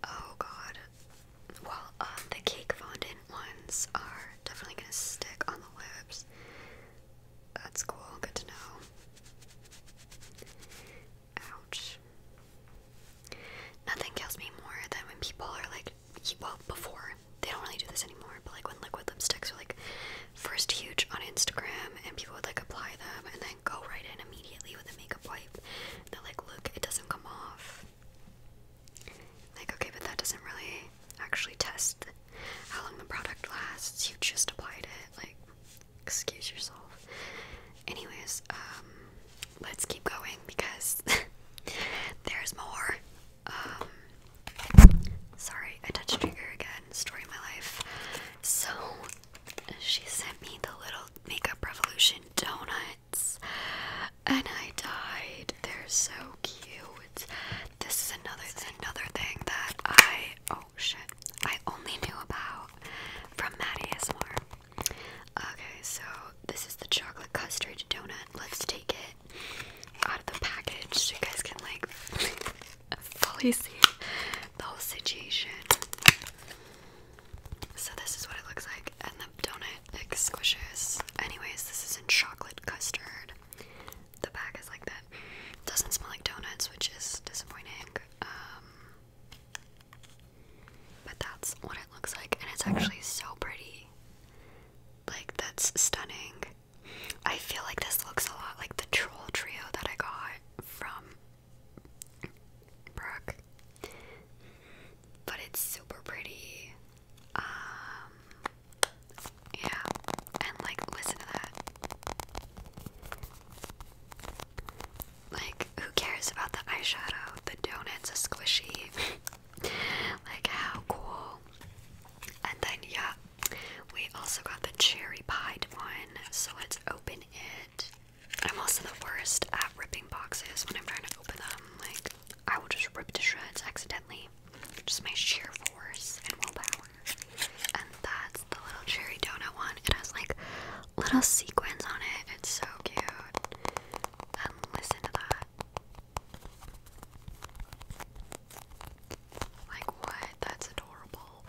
Oh god well, um, the cake fondant ones are definitely gonna stick on the lips. That's cool, good to know. Ouch. Nothing kills me more than when people are like, well, before, they don't really do this anymore, but like when liquid lipsticks were like first huge on Instagram and people would like apply them and then go right in immediately with a makeup wipe. They're like, look, it doesn't come off. Like, okay, but that doesn't really actually test how long the product lasts. You just applied it. Like, excuse yourself. Anyways, um, let's keep going because there's more. Um, sorry, I touched trigger again. Story of my life. So, she sent me the little Makeup Revolution donut and I died. They're so cute. This is another another thing that I oh shit. I only knew about from Mattias. More Okay, so this is the chocolate custard donut. Let's take it out of the package so you guys can like fully see the whole situation. So this is what it looks like, the donut like squishes. Anyways, this is in chocolate custard. The bag is like that. Doesn't smell like donuts, which is disappointing. Um, but that's what it looks like, and it's actually so pretty. Like that's stunning. I feel like this looks a lot like the troll trio that I got from Brooke but it's super pretty. Um, yeah, and like listen to that. Like, who cares about the eyeshadow? The donuts are squishy. like, how cool. And then, yeah, we also got the cherry pied one. So let's open it. I'm also the worst at ripping boxes when I'm trying to open them. Like, I will just rip to shreds accidentally. Just my sheer force and willpower. And that's the little cherry donut one. It has like little sequins on it. It's so cute. And listen to that. Like what? That's adorable.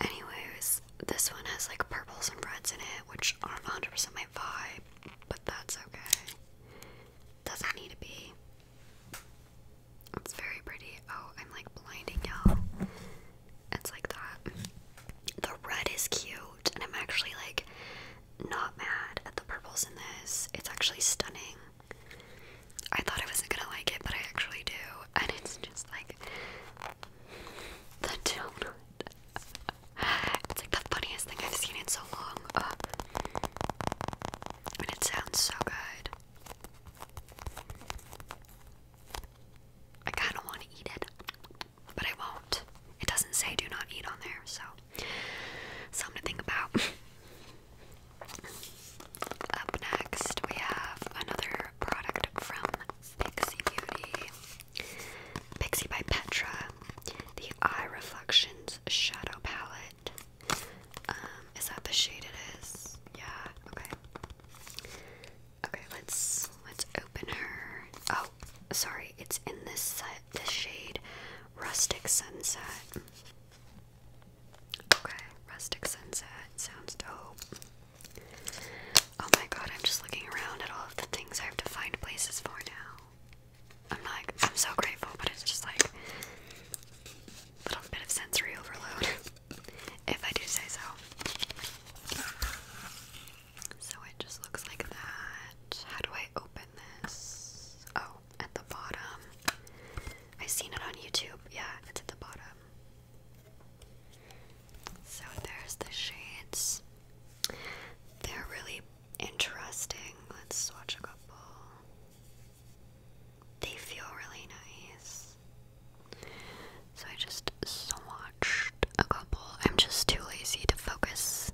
Anyways, this one has like purples and reds in it, which aren't 100% my vibe, but that's okay. Does that need to be? It's very pretty. Oh, I'm like blinding you It's like that. The red is cute, and I'm actually like not mad at the purples in this. It's actually stunning. I thought I wasn't gonna like it, but I actually do. And it's just like the tone it's like the funniest thing I've seen in so long. and it sounds so good. I kind of want to eat it, but I won't. It doesn't say do not eat on there, so something to think about. Up next, we have another product from Pixie Beauty. Pixie by Petra, the Eye Reflections Shadow Palette. Um, is that the shade it is? Yeah, okay. Okay, let's let's open her. Oh, sorry, it's in this set, this shade, Rustic Sunset. Okay, Rustic Sunset sounds dope. Oh my god, I'm just looking around at all of the things I have to find places for now. I'm like, I'm so grateful, but it's just like a little bit of sensory overload, if I do say so. So it just looks like that. How do I open this? Oh, at the bottom. I've seen it on YouTube. Yeah, it's at the bottom. So there's the shades. They're really interesting. Let's watch a couple. They feel really nice. So I just swatched a couple. I'm just too lazy to focus.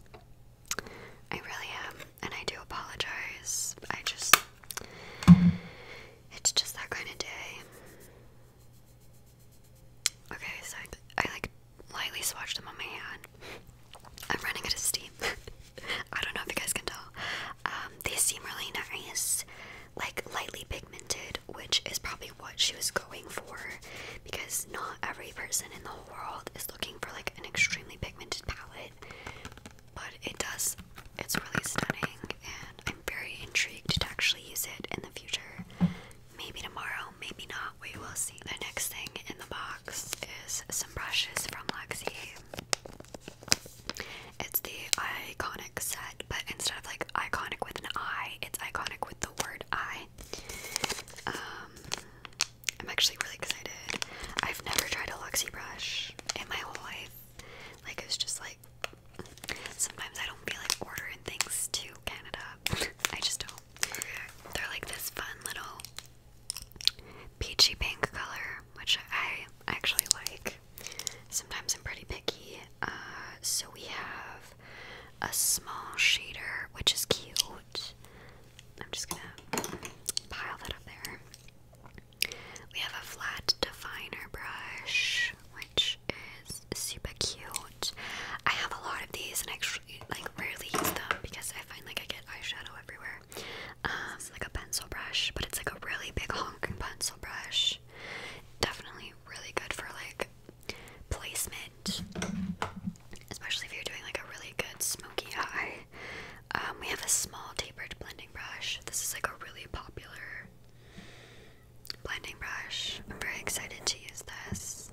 I really am, and I do apologize. I just. It's just that kind of day. Okay, so I like lightly swatched them on my hand. I'm running out of steam. I don't know if you guys can tell. Um, they seem really nice, like lightly pigmented, which is probably what she was going for because not every person in the world is looking for like an extremely pigmented palette. But it does, it's really stunning, and I'm very intrigued to actually use it in the future. Maybe tomorrow, maybe not, we will see. The next thing in the box is some brushes from Lexi. It's the iconic set, but instead of like iconic with an I, it's iconic with the word I. Um, I'm actually really excited. I've never tried a Luxie brush in my whole life. Like, it's just like sometimes I don't feel like ordering things to Canada. I just don't. They're like this fun little peachy pink color, which I actually like. Sometimes I'm pretty picky. Uh, so we have a small shader, which is cute. I'm just gonna pile that up there. We have a flat definer brush, which is super cute. I have a lot of these, and extra actually like rarely use them because I find like I get eyeshadow everywhere. Um, it's like a pencil brush, but it's like a really big honking pencil brush. Definitely really good for like placement, especially if you're doing like a really good smoky eye. Um, we have a small tapered blending brush. This is like a really popular blending brush. I'm very excited to use this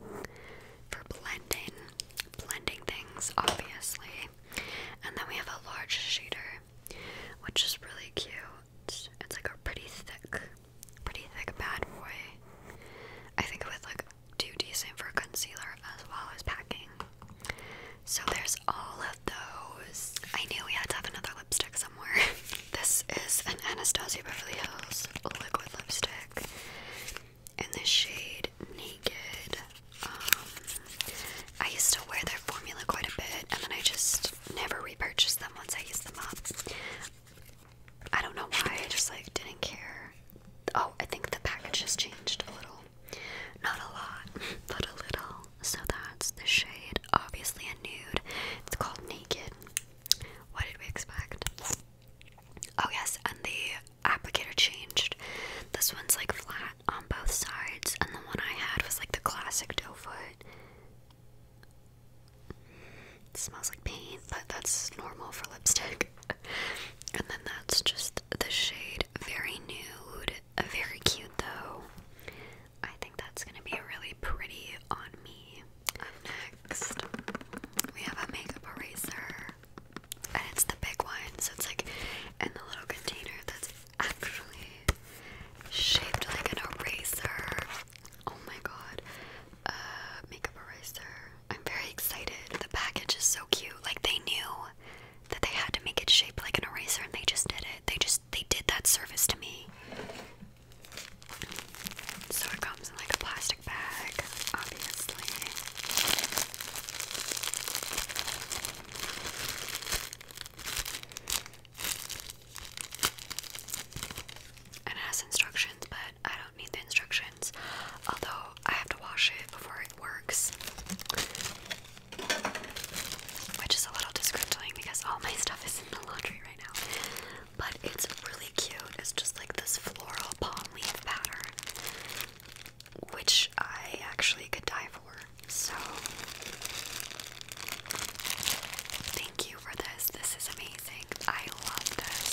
for blending, blending things, obviously. And then we have a large shader, which is really cute. It's like a pretty thick, pretty thick bad boy. I think it would look do decent for concealer as well as packing. So there's all of those. I knew we had to have another lipstick somewhere. this is an Anastasia Beverly Hills liquid lipstick in the shade Naked. Um, I used to wear their formula quite a bit, and then I just never repurchased them once I used them up. I don't know why, I just like didn't care. Oh, I think the package has changed a little. Not a lot, but a little. So that's the shade. Obviously a nude. It's called Naked. What did we expect? Oh yes, and the applicator changed. This one's like flat on both sides, and the one I had was like the classic doe foot. smells like paint, but that's normal for lipstick. and then that's just the shade Very Nude. Very cute though. I think that's gonna be really pretty on me. next, we have a makeup eraser and it's the big one, so it's like in the little container that's actually shaped like an eraser. Oh my god, uh, makeup eraser. I'm very excited. The package is so cute. Like they knew that they had to make it shaped like an eraser, and they just did it. They just they did that service to me. So it comes in like a plastic bag, obviously. It has instructions, but I don't need the instructions, although I have to wash it before it works. Which is a little disgruntling because all my stuff is in the laundry right now. But it's really cute. It's just like this floral palm leaf pattern which I actually could die for. So, thank you for this. This is amazing. I love this.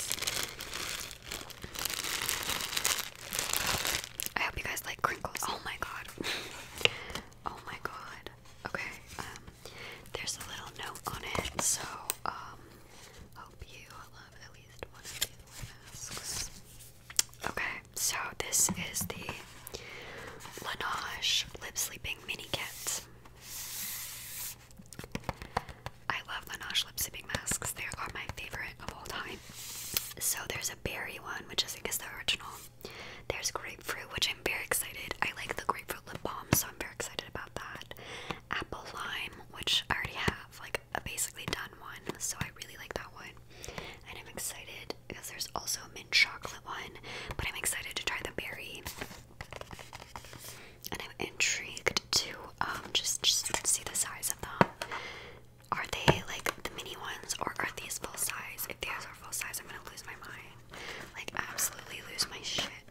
I hope you guys like crinkles. Oh my god. oh my god. Okay. Um, there's a little note on it. So, um, hope you love at least one of these masks. Okay, so this is the Laneige Lip Sleeping Mini Kit. I love Laneige lip sleeping masks. They are my favorite of all time. So there's a berry one, which I think is the original. There's grapefruit, which I'm very excited. I like the grapefruit lip balm, so I'm very excited about that. Apple lime, which I already have. Like like a uh, basically done one, so I really like that one. And I'm excited because there's also a mint chocolate one, but I'm excited to try the berry. And I'm intrigued to um just just see the size of them. Are they like the mini ones or are these full size? If these are full size, I'm gonna lose my mind. Like absolutely lose my shit.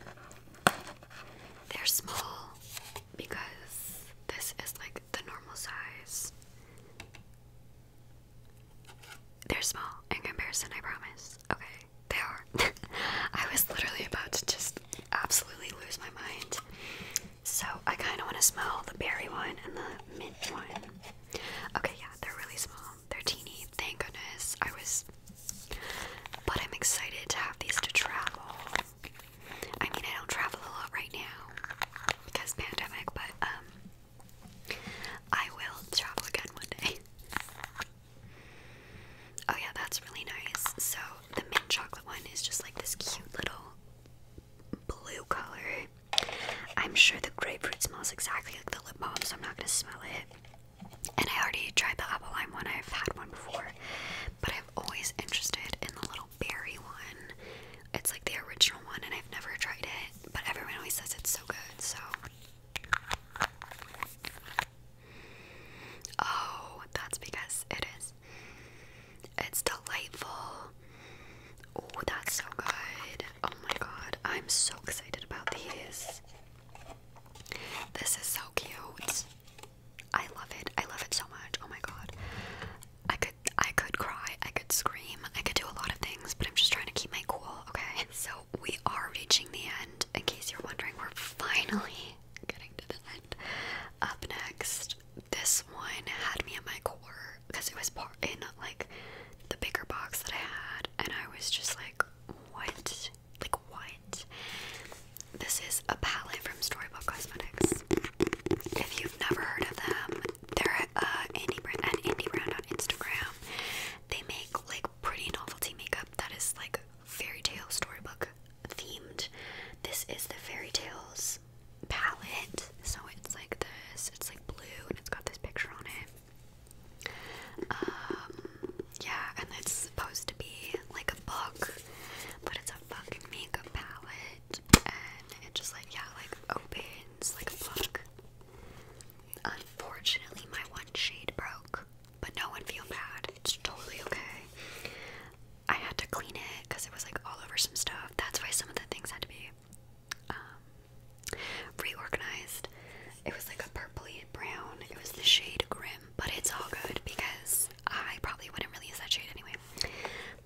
They're small because this is like the normal size. They're small in comparison, I promise. Okay, they are. I was literally about to just absolutely lose my mind. So I kind of want to smell the berry one and the mint one. Okay, yeah, they're really small. They're teeny. Thank goodness. I was. But I'm excited to have these to travel. I mean, I don't travel a lot right now because pandemic, but um, I will travel again one day. Oh yeah, that's really nice. So the mint chocolate one is just like this cute little blue color. I'm sure the grapefruit smells exactly like the lip balm, so I'm not gonna smell it. And I already tried the apple lime one. I've had one before, but I'm always interested in the little Berry one. It's like the original one, and I've never tried it, but everyone always says it's so good, so. Oh, that's because it is. It's delightful. Oh, that's so good. Oh my god, I'm so excited about these. This is so cute. I love it. I love it so much. Oh my god. I could I could cry, I could scream, I could do a lot of things, but I'm just trying to keep my cool, okay? So we are reaching the end. In case you're wondering, we're finally getting to the end. Up next, this one had me at my core because it was part in like the bigger box that I had, and I was just like, what? Like what? This is a palette from Storybook Cosmetics. If you've never heard of them, they're uh, an indie brand on Instagram. They make like pretty novelty makeup that is like fairy tale storybook themed. This is the fairy tales palette, so it's like this. It's like blue, and it's got this picture on it. Um, yeah, and it's supposed to be like a book, but it's a fucking makeup palette and it just like yeah, like opens like a book. Unfortunately, my one shade broke, but no one feel bad. It's totally okay. I had to clean it because it was like all over some stuff. That's why some of the things had to be um, reorganized. It was like a purpley brown. It was the shade Grim, but it's all good because I probably wouldn't really use that shade anyway.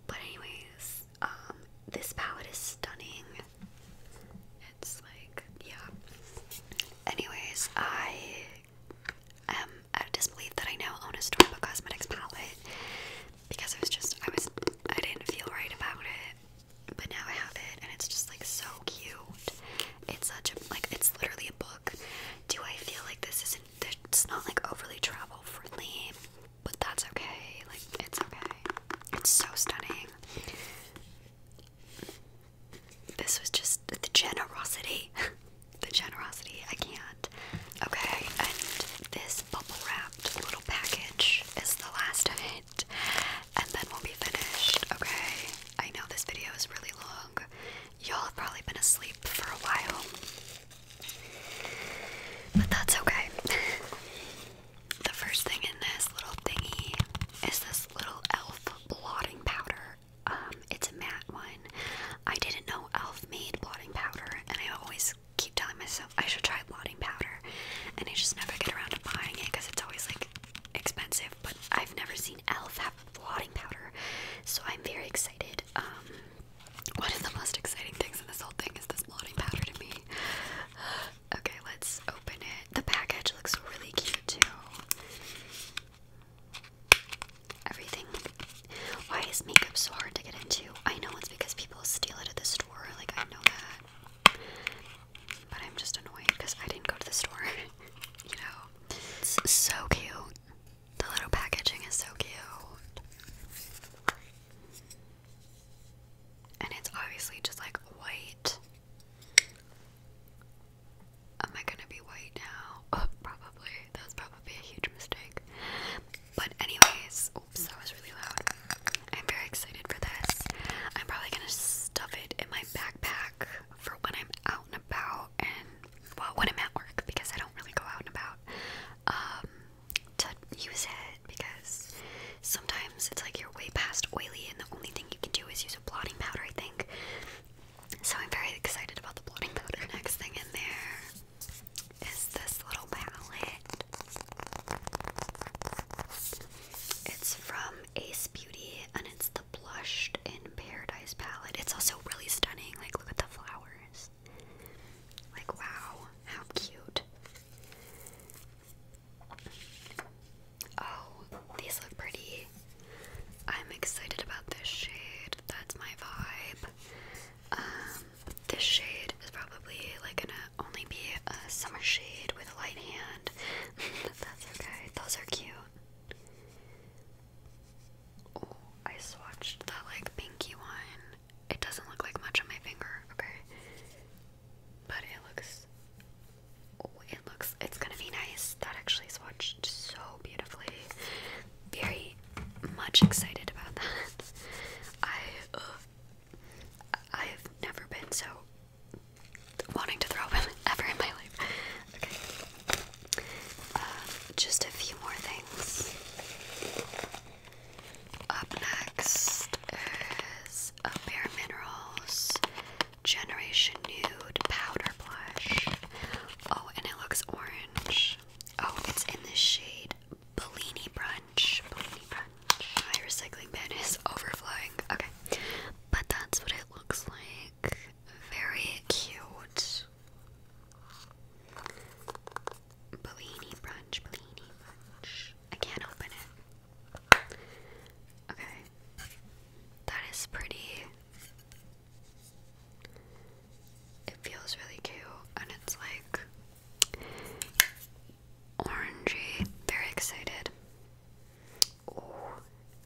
But anyways, um, this palette is stunning. It's like, yeah. Anyways, I am out disbelief that I now own a Stormbook Cosmetics palette because I was just, I was, I didn't feel right about it, but now I have it and it's just like so cute. It's such a, like, it's literally a book. Do I feel like this isn't, it's not like overly travel friendly? but that's okay. Like, it's okay. It's so stunning. This was just the generosity. the generosity. I can't. Okay, and this bubble wrapped little package is the last of it. And then we'll be finished. Okay, I know this video is really long. Y'all have probably been asleep for a while. But that's okay. the first thing in this little thingy is this little elf blotting powder. Um, it's a matte one. I didn't know elf made blotting powder, and I always keep telling myself I should try blotting powder, and I just never get around to buying it because it's always like expensive. But I've never seen elf have blotting powder, so I'm very excited. Um, one of the most exciting things in this whole thing is this blotting powder to me. Okay, let's open it. The package looks really cute too. Everything. Why is makeup so hard to get into? I know it's because people steal it at the store. Like, I know that. But I'm just annoyed because I didn't go to the store. you know? so cute. The little packaging is so cute. And it's obviously just like white. Am I gonna be white now? Oh, probably. That was probably a huge mistake. But, anyways, oops, that was really loud. I'm very excited for this. I'm probably gonna stuff it in my backpack for when I'm out and about and, well, when I'm at work because I don't really go out and about. Um, to use it because sometimes it's like you're way past oily and the only thing you can do is use a blotting powder, I think. So I'm very excited about the blotting powder. Next thing in there is this little palette. It's from Ace Beauty and it's the Blushed in Paradise palette. It's also really stunning. Like, look at the flowers. Like, wow, how cute. Oh, these look pretty. I'm excited about this shade. That's my vibe. Um, this shade is probably like gonna only be a summer shade with a light hand. that's okay. Those are cute. Oh, I swatched that like pinky one it doesn't look like much on my finger, okay? But it looks it looks it's gonna be nice. That actually swatched so beautifully. Very much excited about that. I uh, I've never been so wanting to throw up ever in my life. Okay. Uh, just a few more things. Up next is a Bare Minerals Generation Nude Powder Blush. Oh, and it looks orange. Oh, it's in the shade Bellini Brunch. Bellini Brunch. My recycling bin is overflowing. Okay, but that's what it looks like. Very cute. Bellini brunch, Bellini brunch. I can't open it. Okay. That is pretty. It feels really cute and it's like orangey. Very excited. Oh,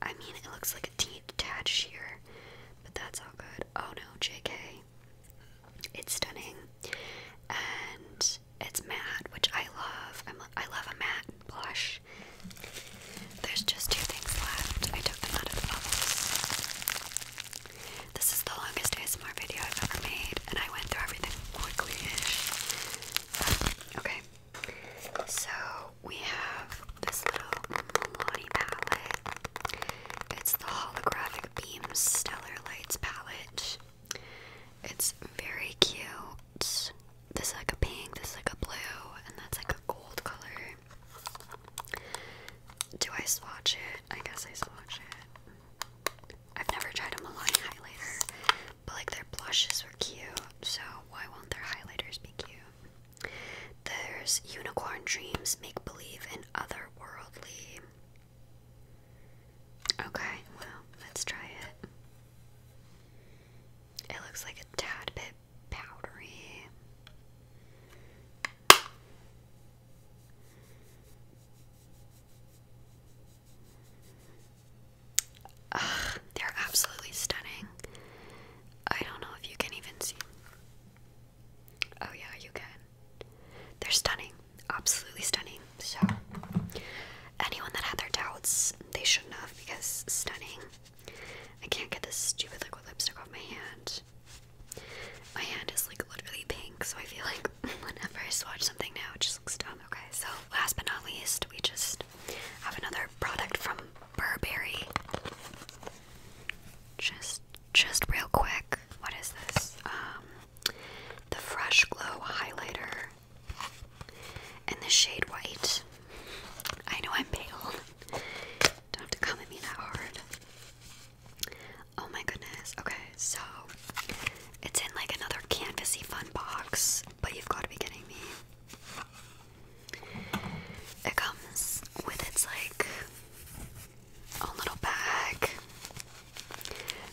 I mean, it looks like a detached here, but that's all good. Oh no, JK. It's stunning, and it's matte, which I love. I'm, I love a matte blush. There's just two things left. I took them out of the bubbles. This is the longest ASMR video I've ever made, and I went through everything quickly-ish. Okay, so we have this little Milani palette. It's the holographic beams stellar lights palette. It's very cute. This is like a pink, this is like a blue, and that's like a gold color. Do I swatch it? I guess I swatch it. I've never tried a Milani highlighter, but like their blushes were cute, so why won't their highlighters be cute? There's Unicorn Dreams, Make Believe, and Otherworldly. Okay, well, let's try it. It looks like a tad bit powdery. they're absolutely stunning. I don't know if you can even see. Oh, yeah, you can. They're stunning absolutely stunning. So, anyone that had their doubts, they shouldn't have because stunning. I can't get this stupid liquid lipstick off my hand. My hand is like literally pink, so I feel like whenever I swatch something now, it just looks dumb. Okay, so last but not least, we just have another product from Burberry. Just, just real quick. What is this? Um, the Fresh Glow Highlighter and the shade white. I know I'm pale. Don't have to come me that hard. Oh my goodness. Okay, so it's in like another canvasy fun box, but you've got to be kidding me. It comes with its like own little bag.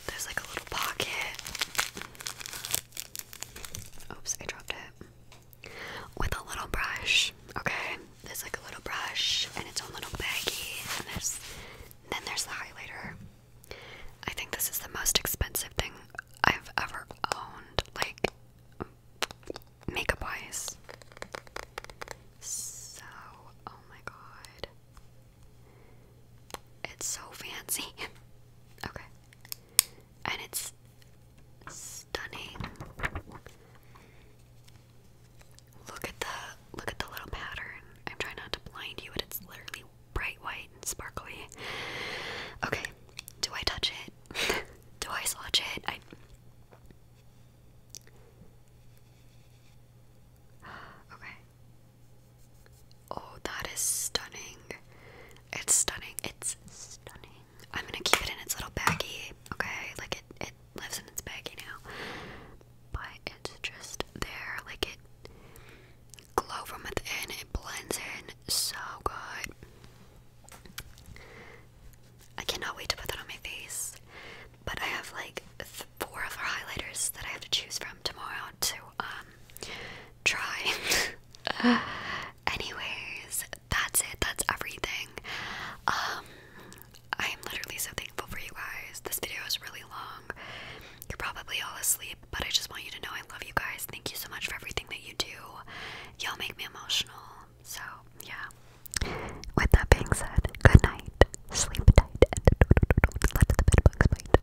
There's like a little pocket. Oops, I dropped it. With a little brush, okay? There's like a little brush and its own little baggy. and there's then there's the highlighter. I think this is the most expensive thing I've ever owned, like makeup wise. So, oh my god. It's so fancy. okay. And it's stunning. Look at the look at the little pattern. I'm trying not to blind you, but it's literally bright white and sparkly. Okay. Do I touch it? Do I swatch it? I Okay. Oh, that is stunning. It's stunning. It's stunning. I'm gonna keep it in its little baggy. okay? Like it, it lives in its baggy now. But it's just there. Like it glow from within. It blends in so good. I cannot wait to put that on my face. But I have like four of our highlighters that I have to choose from tomorrow to um try. Anyways, that's it. That's everything. Um, I am literally so thankful for you guys. This video is really long. You're probably all asleep, but I just want you to know I love you guys. Thank you so much for everything that you do. Y'all make me emotional. So, yeah. With that being said, good night. Sleep tight and let the bed bugs bite.